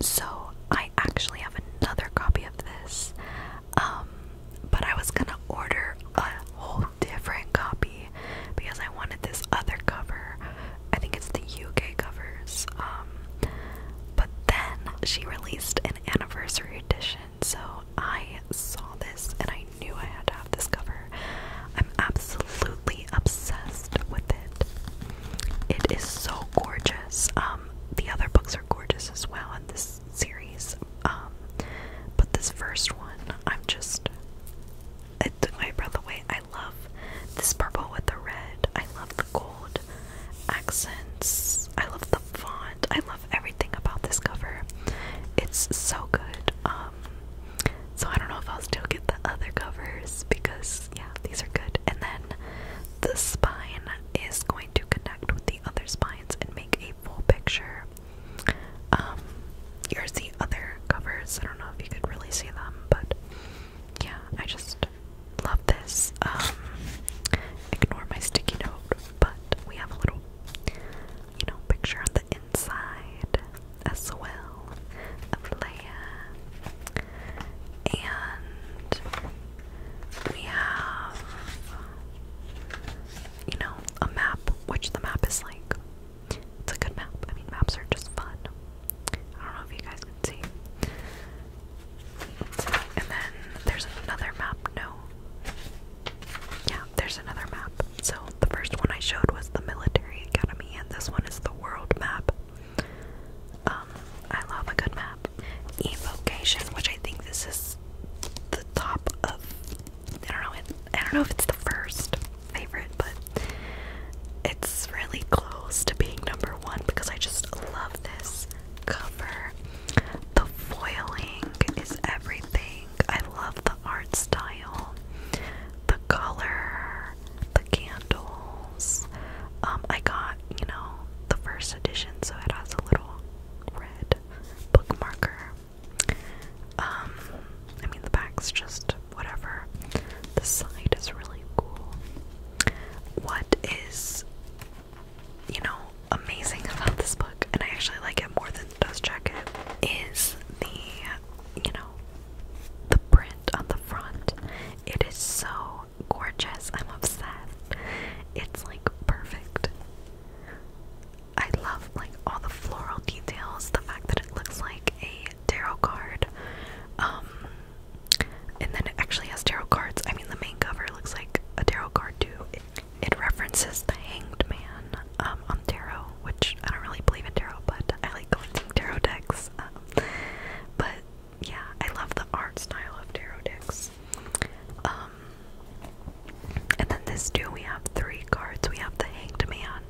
So I actually have another copy of this. Um, but I was gonna order a whole different copy because I wanted this other cover. I think it's the UK covers. Um, but then she released an anniversary edition, so I saw this and I knew I had to have this cover. I'm absolutely obsessed with it. It is so gorgeous. Um, the other books are gorgeous as well, and this series. Um, but this first one, I'm just it breath away. I love this purple with the red. I love the gold accents. I love the font. I love everything about this cover. It's so good. Um, so I don't know if I'll still get the other covers because yeah, these are good. And then the spine is going to connect with the other spines and make a full picture here's um, the other covers. I don't know if you could really see them, but yeah, I just love this. Um, ignore my sticky note, but we have a little, you know, picture on the inside as well of Leia. And we have you know, a map, which the map is like, it's a good map. I mean, maps are just fun. I don't know if you guys can see. And then there's another map. No. Yeah, there's another map. So the first one I showed was the military academy, and this one is the world map. Um, I love a good map. Evocation, which I think this is the top of I don't know. I don't know if it's the first favorite, but it's really close to being number one because I just love this cover. The foiling is everything. I love the art style, the color, the candles. Um, I got you know the first edition, so it has a little red bookmarker um, I mean, the back's just whatever. The side is really cool. What is, you know, amazing about this book, and I actually like it more than the dust jacket, is the, you know, the print on the front. It is so gorgeous. I'm obsessed. It's like perfect. I love like all the floral details, the fact that it looks like a tarot card. Um and then it actually has tarot cards. I mean the main cover looks like a tarot card too. It, references the hanged man um, on tarot, which I don't really believe in tarot, but I like collecting tarot decks. Um, but yeah, I love the art style of tarot decks. Um and then this too, we have three cards. We have the Hanged Man.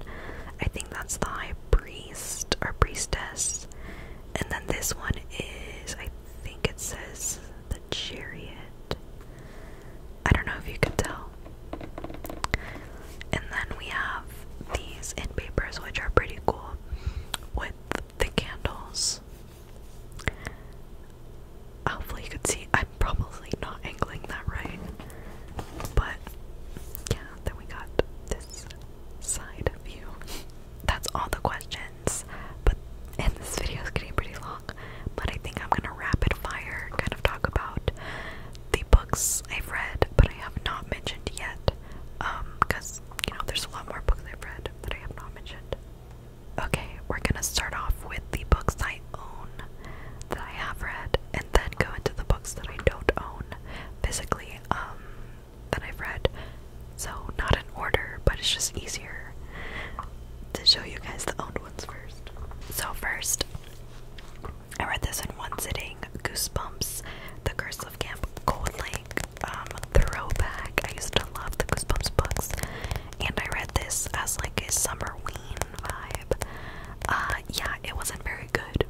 I think that's the High Priest or Priestess. And then this one is, I think it says the Chariot. I don't know if you can tell. And then we have these in papers, which are pretty cool, with the candles hopefully you could see I'm probably not angling that right. But yeah, then we got this side view. That's all the questions. But and this video is getting pretty long. But I think I'm gonna rapid fire kind of talk about the books I've read but I have not mentioned yet. because um, you know there's a lot more books I've read that I have not mentioned. Okay, we're gonna start off with the books I own that I have read and then go into the books that I don't own physically um that I've read. So not in order, but it's just easier to show you guys the owned ones first. So first I read this in one sitting, Goosebumps, The Curse of Camp Cold Lake, um, Throwback. I used to love the Goosebumps books and I read this as like a summer ween vibe. Uh, yeah, it wasn't very good.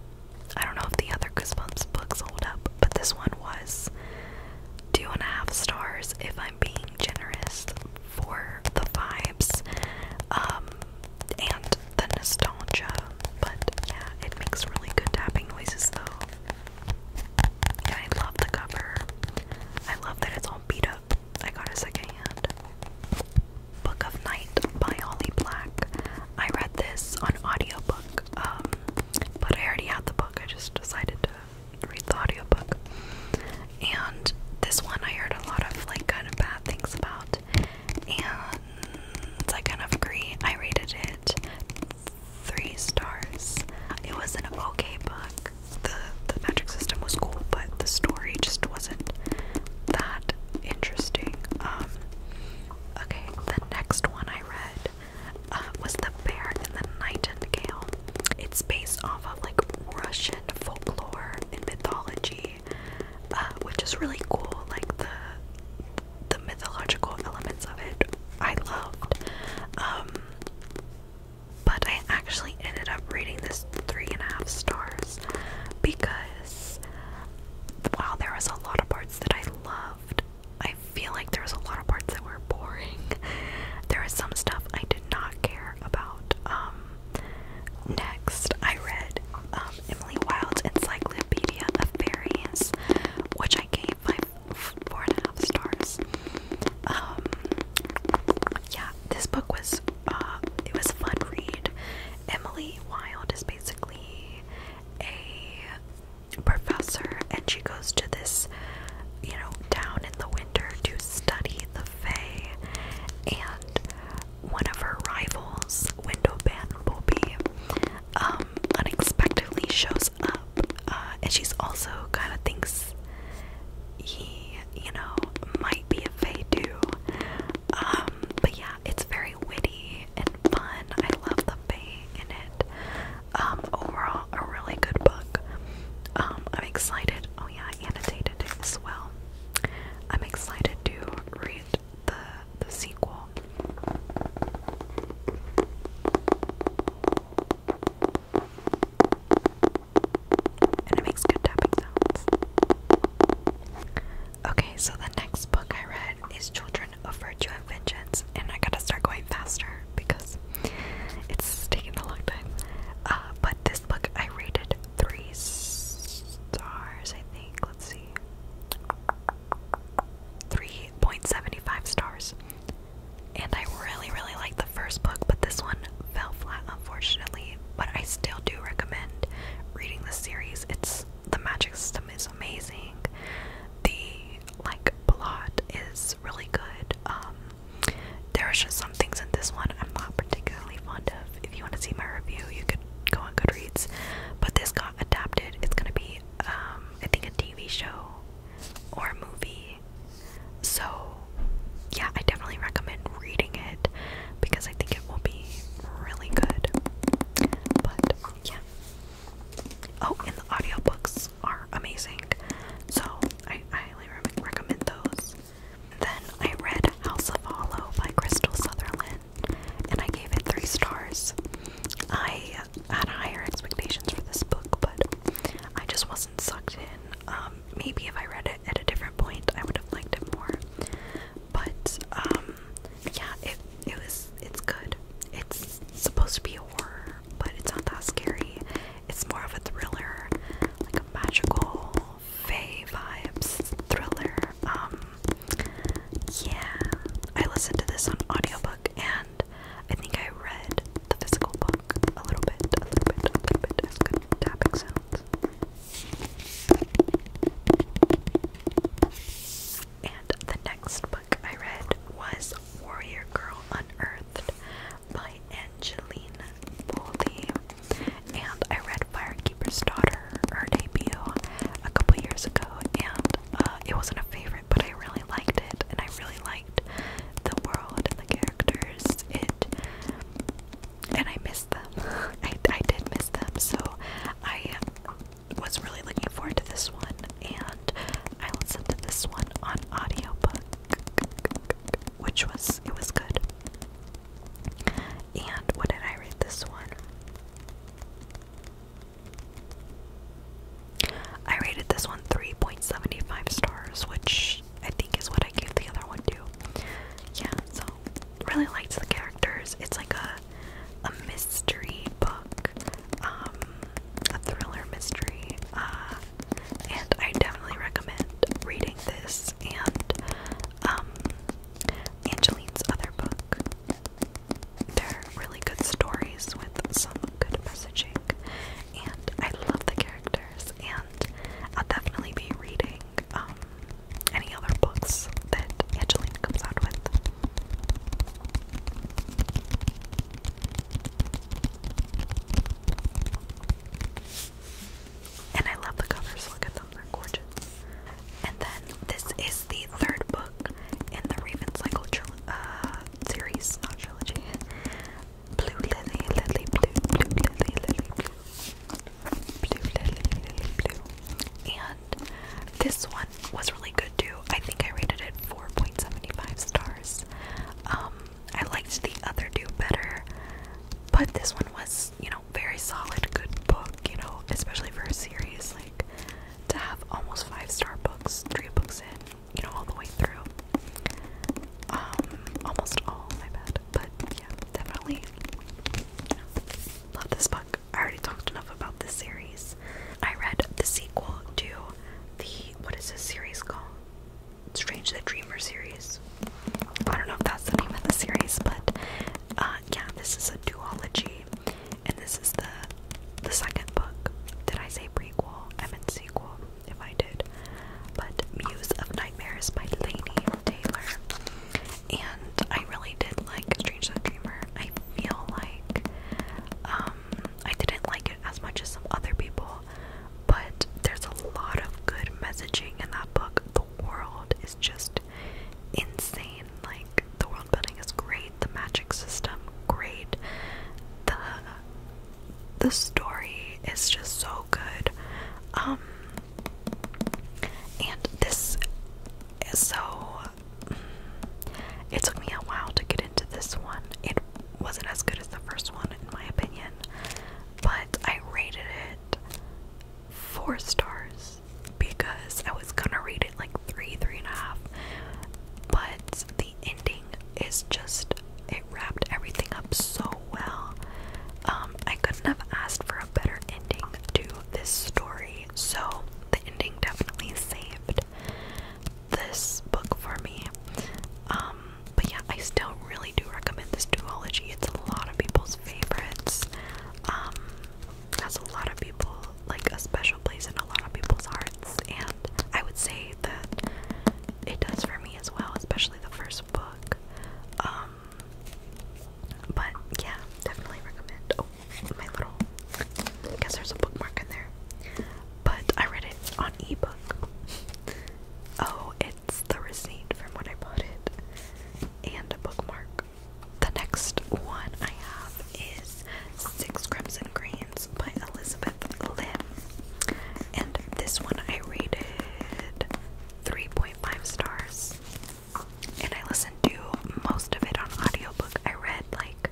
I don't know if the other Goosebumps books hold up, but this one was two and a half stars if I'm being generous for the vibes um, and the nostalgia. But yeah, it makes really good tapping noises though. And I love the cover. I love that it's all beat I got a second hand Book of Night by Holly Black. I read this on audiobook, um, but I already had the book. I just decided to read the audiobook. And this one I heard a lot of like kind of bad things about. And I kind of agree. I rated it three stars. It was an okay book. The the magic system was cool, but the story just wasn't that interesting. Um, okay, the next one I read uh, was The Bear and the Night and Gale. It's based off of like Russian folklore and mythology, uh, which is really cool. Like the the mythological elements of it, I loved. Um, but I actually only ended up reading this three and a half stars because while there was a lot of parts that I loved, I feel like there was a lot of parts that were boring. There was some stuff I did not care about. Um, next, I read um, Emily Wild's Encyclopedia of Fairies, which I gave my and a half stars. Um, yeah, this book was uh, it was a fun read. Emily Wild is basically a professor, and she goes to this, you know, town in the winter to study the Fae. And one of her rivals, Windowban Bobby, um, unexpectedly shows up, uh, and she's also kind of thinks he you know, might be a fey too. Um, but yeah, it's very witty and fun. I love the fey in it. Um, overall, a really good book. Um, I'm excited. Oh yeah, I annotated as well. I'm excited to read the the sequel and it makes good tapping sounds. Okay, so the next book I read is Children of Virtue and Vengeance, and I gotta start going faster because it's taking a long time. Uh, but this book I rated three stars, I think. Let's see. 3.75 stars. And I really, really liked the first book, but this one fell flat, unfortunately but I still do recommend reading the series. It's the magic system is amazing. The like plot is really good. Um there's just some things in this one I'm not particularly fond of. If you want to see my review, you could go on Goodreads. But this got adapted. It's gonna be um, I think a TV show or a movie. So yeah, I definitely recommend reading because I think it will be really good. But yeah. Oh, and the audiobooks are amazing. So I, highly recommend those. Then I read House of Hollow by Crystal Sutherland and I gave it three stars. I had higher expectations for this book, but I just wasn't sucked in. Um, maybe if I read it at a different point, I would have liked it more. But um yeah, it it was it's good. It's supposed to be a horror, but it's not that scary. It's more of a thriller, like a magical fae vibes thriller. Um yeah. I listened to this on audiobook and I think I read the physical book a little bit, a little bit, a little bit. It's good tapping sounds. And the next book I read was Warrior Girl Unearthed by Angelina Boldy. And I read Firekeeper's Daughter, her debut, a couple years ago. And uh, it wasn't a favorite, but I really liked it. And I really liked the world and the characters. It and I missed them. I, I did miss them, so I was really looking forward to this one, and I listened to this one on audiobook, which was it was good. And what did I read this one? I rated this one 3.75 stars, which I think is what I gave the other one to. Yeah, so really liked the characters. It's like a a mystery book, um, a thriller mystery, uh, and I definitely recommend reading this and um, Angelina's other book. They're really good stories with some good messaging, and I love the characters, and I'll definitely be reading um, any other books that Angelina comes out with. And I love the covers, look at them, they're gorgeous. And then this is the third book in the Raven Cycle uh, series, not trilogy. Blue Lily, Lily Blue, Blue Lily, Lily Blue. And this one was really good too. I think I rated it 4.75 stars. Um, I liked the other two better, but this one was, you know, very solid, good book, you know, especially for a series. Like, to have almost five star books, three books in, you know, all the way through. Um, almost all, my bad. But definitely love this book. I already talked enough about this series. I read the sequel to the what is this series called? Strange the Dreamer series. I don't know if that's the name of the series, but uh, yeah, this is a duology, and this is the the second book. Did I say prequel? I meant sequel. If I did, but Muse of Nightmares by Lainey Taylor and I really did like Strange Little Dreamer. I feel like um, I didn't like it as much as some other people, but there's a lot of good messaging in that book. The world is just insane. Like the world building is great, the magic system great, the the story is just so good. Um, and this so. It took me a while to get into this one. It wasn't as good as the first one, in my opinion, but I rated it four stars because I was gonna rate it like three, three and a half. But the ending is just it wrapped everything up so well. Um, I couldn't have asked for a better ending to this story, so the ending definitely saved this book for me. Um, but yeah, I still really do recommend this duology. It's a lot of people's favorites. Um, has a lot of people like a special place in a lot of people's hearts, and I would say that it does for me as well, especially the first book. Um, but yeah, definitely recommend. Oh, my little. I guess there's a bookmark in there. But I read it on ebook. Oh, it's the receipt from when I bought it, and a bookmark. The next one I have is Six Crimson Greens by Elizabeth Lim. And this one I rated 3.5 stars and I listened to most of it on audiobook. I read like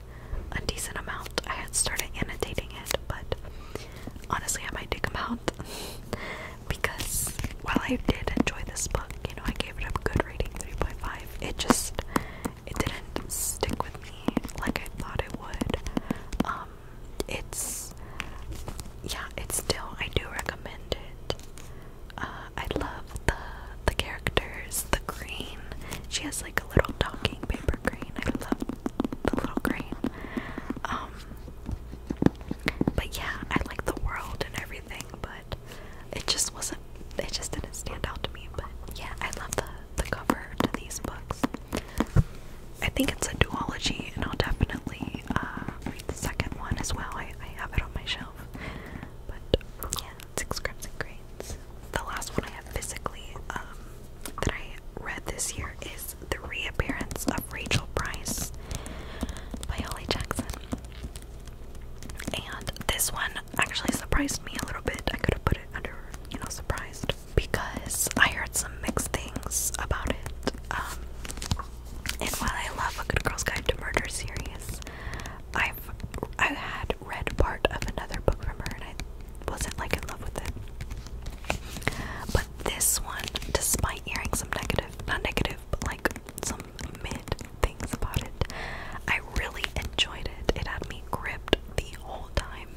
a decent amount. I had started annotating it, but honestly, I might take them out because while I did enjoy this book, you know, I gave it a good rating, 3.5. It just it didn't stick with me like I thought it would. Um, it's yeah, it's still I do recommend it. Uh, I love the the characters, the green, She has like a little talking paper green. I love the little crane. Um, but yeah, I like the world and everything, but it just wasn't. It just didn't stand out to me. But yeah, I love the the cover to these books. I think it's a duology, and I'll definitely uh, read the second one as well. I, I have it on my shelf. But yeah, six grams and grains. The last one I have physically um, that I read this year is The Reappearance of Rachel Price by Holly Jackson. And this one actually surprised me a little bit. I could have put it under, you know, surprised because I heard some mixed things about it. Um, and while I love A Good Girl's Guide to Murder series, I've I had read part of another book from her and I wasn't like in love with it. But this one, despite hearing some negative, not negative, but like some mid things about it, I really enjoyed it. It had me gripped the whole time.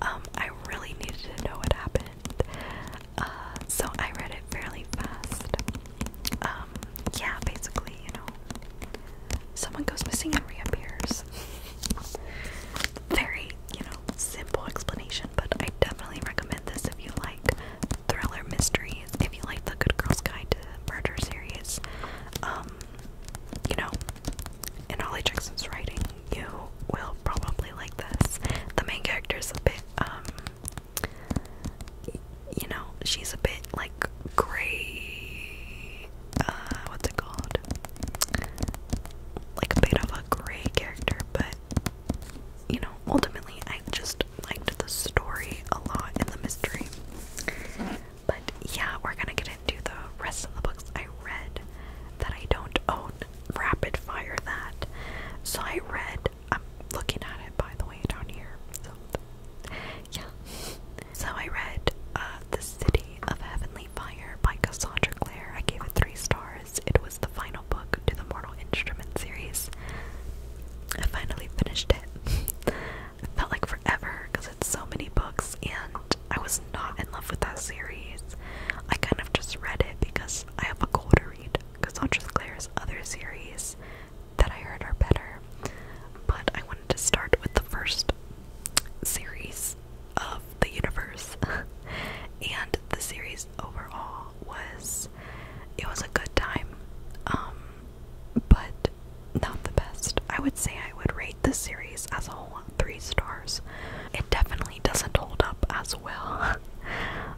Um, I really needed to know what happened. Uh, so I read it fairly fast um, yeah, basically, you know, someone goes missing and reappears. Very, you know, simple explanation, but I definitely recommend this if you like thriller mysteries, if you like the Good Girls Guide to Murder series. Um, you know, in Holly Jackson's writing, you will probably like this. The main characters a bit, um, you know, she's a bit like gray. Uh, what's it called? Like a bit of a gray character, but you know, ultimately, I just liked the story a lot and the mystery. But yeah, we're gonna get into the rest of the books I read that I don't own. Rapid fire that. So I read I'm looking at it by the way down here. So yeah. So I read uh, The City of Heavenly Fire by Cassandra Clare. I gave it three stars. It was the final book to the Mortal Instrument series. I finally finished it. it felt like forever because it's so many books and I was not in love with that series. I kind of just read it because I have a goal to read Cassandra's Clare's other series that I heard are better. But I wanted to start with the first series of the universe. and the series overall was it was a good time. Um but not the best. I would say I would rate this series as a whole three stars. It definitely doesn't hold up as well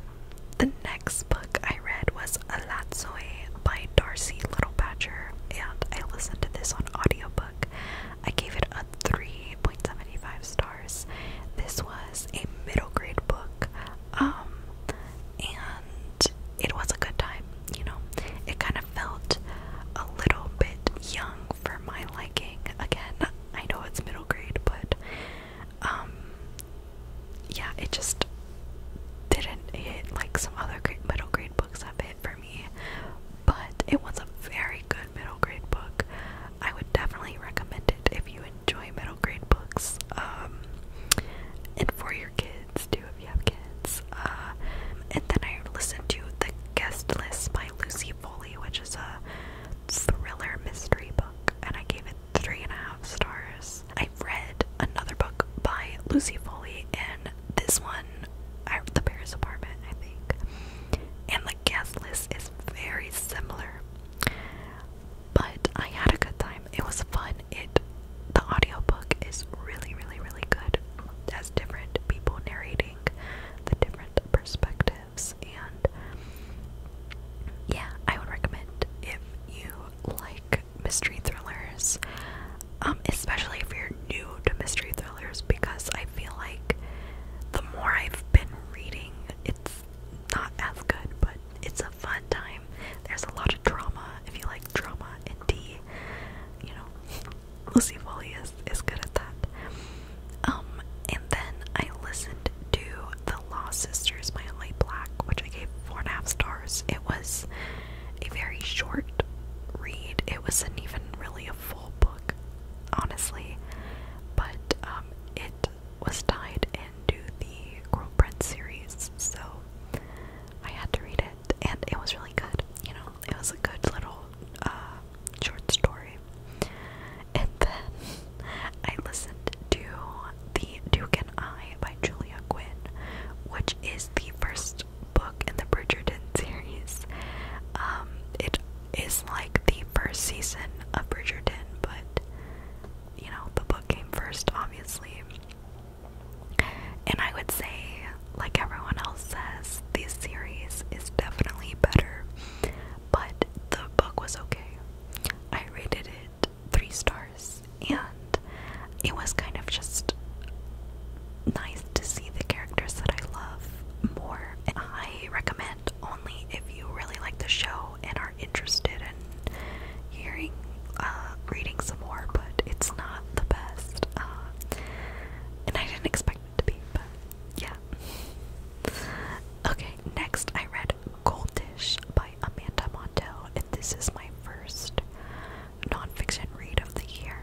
The next book I read was Alatsoi by Darcy Littlepatcher, and I listened to this on audiobook. I gave it a 3.75 stars. This was a middle grade book, um, and it was a good time, you know. It kind of felt a little bit young for my liking. Again, I know it's middle grade, but um, yeah, it just didn't hit like some other great middle grade books have hit for me. But it was a very good middle grade book. I would definitely recommend it if you enjoy middle grade books. Um, and for your kids too, if you have kids. Uh, and then I listened to The Guest List by Lucy Foley, which is a thriller mystery book, and I gave it three and a half stars. I read another book by Lucy Foley, and this one, I, The Paris Apartment, I think. And the guest list is very similar, but I had a good time. It was fun. It the audio book is really, really, really good. As different people narrating the different perspectives, and yeah, I would recommend if you like mystery thrillers, um, especially if you're new to mystery thrillers, because I feel like the more I've been reading, it's not as good, but it's a fun time. There's a lot of drama if you like drama and tea. You know, Lucy Foley is, is good at that. Um, and then I listened to The Lost Sisters by Light Black, which I gave four and a half stars. It was a very short read. It wasn't even really a full book, honestly, but um, it was tied into the Girl series, so I had to read it, and it was really good. You know, it was a good little uh, short story. And then I listened to the Duke and I by Julia Quinn, which is the first book in the Bridgerton series. Um, it is like the first season of Bridgerton, but you know, the book came first, obviously. And I would say, like everyone else says, this series is definitely better, but the book was okay. I rated it three stars and it was kind of just nice to see the characters that I love more. I recommend only if you really like the show and are interested in hearing, uh, reading some more, but it's not the best. Uh, and I didn't expect it to be, but yeah. Okay, next I read Gold by Amanda Mondale, and this is my first nonfiction read of the year.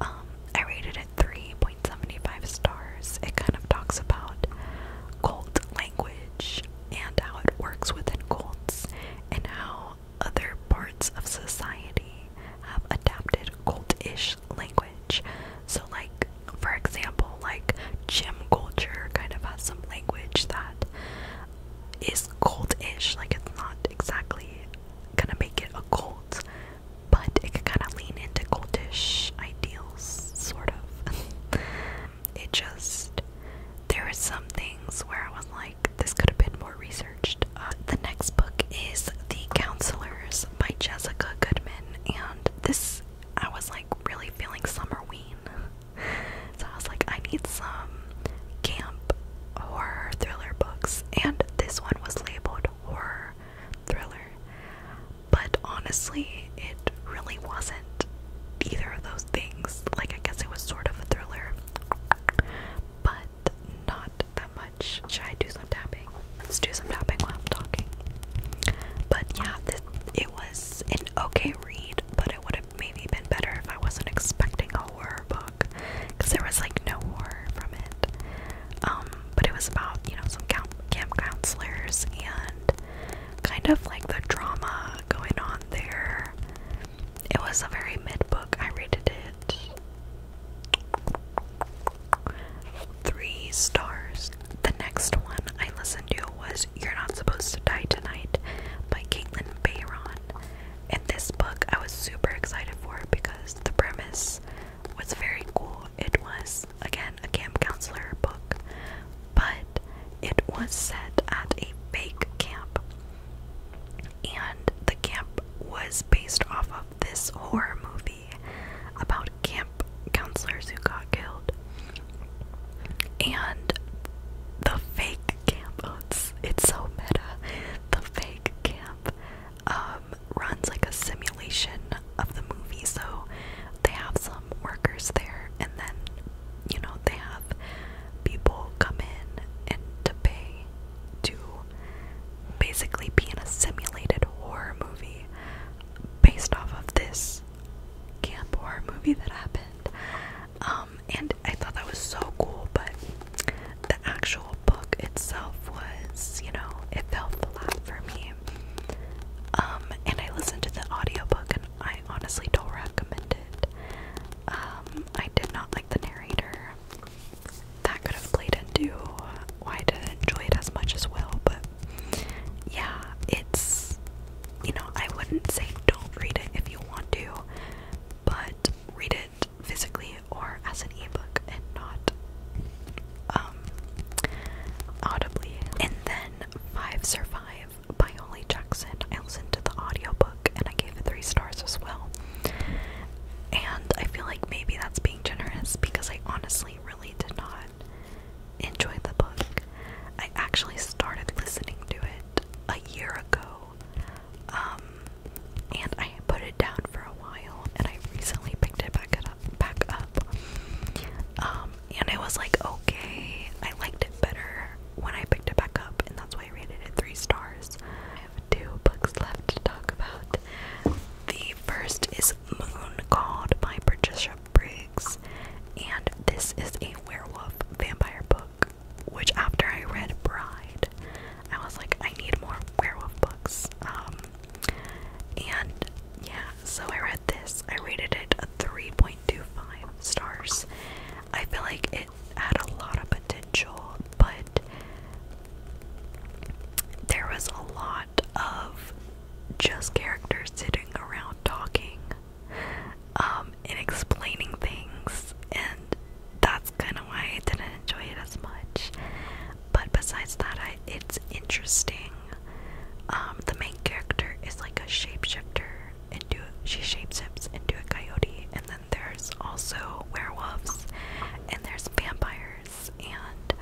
Um, I rated it 3.75 stars. It kind of talks about cult language and how it works within cults and how other parts of society have adapted cult language. So like for example, like gym culture kind of has some language that is goldish. Like it's not exactly gonna make it a gold, but it can kind of lean into goldish ideals, sort of. it just there are some things where I was like, this could have been more researched. Uh, the next book is The Counselors by Jessica Goodman, and this I was like really feeling summerween. so I was like, I need some camp horror thriller books, and this one was labeled horror thriller, but honestly, it really wasn't either of those things. Like, I guess it was sort of a thriller, but not that much. Should I do some tapping? Let's do some tapping while I'm talking. But yeah, this, it was an okay read, but it would have maybe been better if I wasn't expecting a horror book because there was like no horror from it. Um, but it was about, you know, some camp, camp counselors and kind of like the drama going on there. It was a very mid book. I rated it three stars. The next one I listened to was You're Not Supposed to Die Tonight by Caitlin Bayron in this book I was super excited for because the premise was very cool. It was again a camp counselor book, but it was set at a fake camp. And the camp was based off of this horror movie about camp counselors who got killed. And the fake camp owns oh, it's so meta. The fake camp um, runs like a simulation of the movie, so they have some workers there and then you know they have people come in and to pay to basically be in a simulated horror movie based off of this camp horror movie that happened um, and I thought that was so cool, but the actual book itself was, you know, it fell flat for me. Um, and I listened to the audiobook and I honestly don't recommend it. Um, I did not like the narrator. That could have played into why I didn't enjoy it as much as well, but yeah, it's you know, I wouldn't say don't read it if you want to, but read it physically or as an ebook and not um, audibly. And then Five Survive by Holly Jackson. I listened to the audio book, and I gave it three stars as well. And I feel like maybe that's being generous because I honestly really did not enjoy the book. I actually started listening to it a year ago um, and I put it down for a while, and I recently picked it back up, back up, um, and it was like okay, I liked it better when I picked it back up, and that's why I rated it three stars. I have two books left to talk about. The first is Moon Called by Patricia Briggs, and this is a werewolf vampire book which after I read Bride, I was like, I need more werewolf books. Um, and yeah, so I read this. I rated it a 3.25 stars. I feel like it had a lot of potential, but there was a lot of just characters sitting around talking um, and explaining things, and that's kind of why I didn't enjoy it as much. But besides that, I, it's interesting. Um, the main character is like a shapeshifter, and do she shapeshifts into a coyote, and then there's also werewolves, and there's vampires, and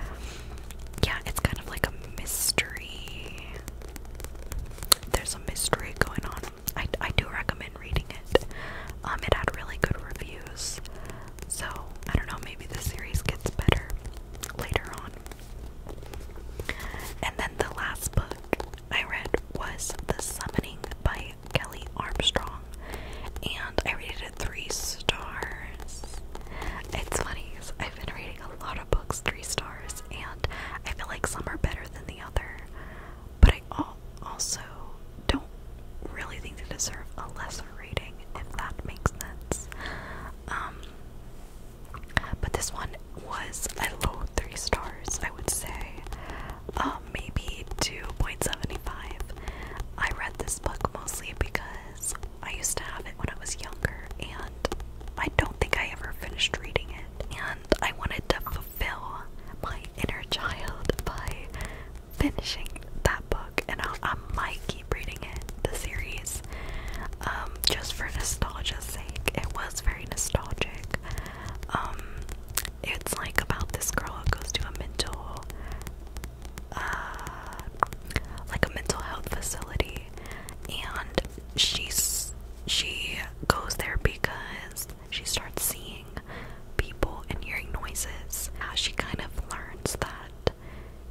yeah, it's kind of like a mystery. There's a mystery going on I, I do recommend reading it. Um, it had really good reviews, so I don't know, maybe the series gets better later on. And then the last book I read was The Summoning by Kelly Armstrong, and I rated it three stars. It's funny, I've been reading a lot of books three stars, and I feel like some are better than the other, but I also don't really think they deserve a lesser rating, if that makes sense. Um, but this one was a low three stars, I would say, uh, maybe 2.75. I read this book mostly because I used to have it when I was younger, and I don't think I ever finished reading it, and I wanted to Fill my inner child by finishing that book, and i might keep reading it, the series, um, just for nostalgia's sake. It was very nostalgic. Um, it's like about this girl who goes to a mental, uh, like a mental health facility, and she's she goes there because she starts seeing people and hearing noises. Now she kind of learns that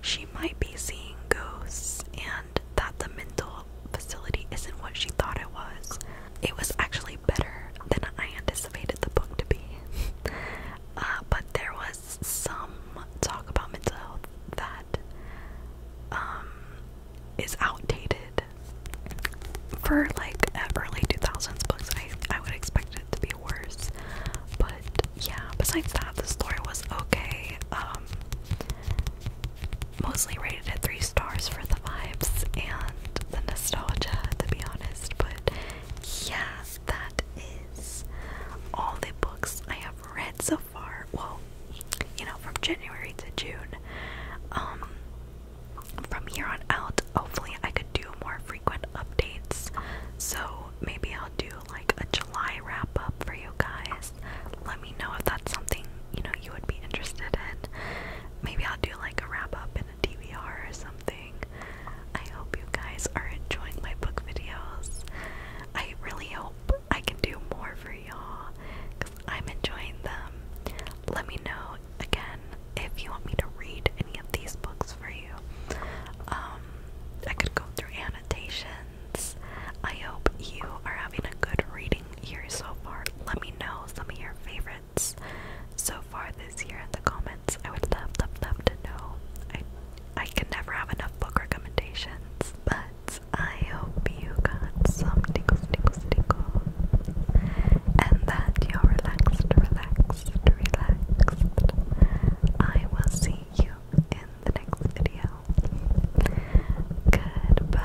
she might be seeing ghosts and that the mental facility isn't what she thought it was. It was actually better than I anticipated the book to be. Uh, but there was some talk about mental health that um, is outdated for like uh, early 2000s books, I, I would expect it to be worse. But yeah, besides that, the story was okay. Um, mostly rated at three stars for the vibes and the nostalgia, to be honest. But yeah, that is all the books I have read so far. Well, you know, from January to June. Um, from here on out, hopefully, I could do more frequent updates. So maybe I'll do like a July wrap up for you guys. Let me know if that's something you know you would be interested in. Maybe I'll do like a wrap up in a DVR or something. I hope you guys are enjoying my book videos. I really hope I can do more for y'all because I'm enjoying them. Let me know again, if you want me to read any of these books for you, um, I could go through annotations. I hope you are having a good reading year so far. Let me know some of your favorites so far this year in the comments. I would love, love, love to know. I I can never have enough book recommendations, but I hope you got some tingles, tingles, tingles and that you're relaxed, relaxed, relaxed. I will see you in the next video. Goodbye.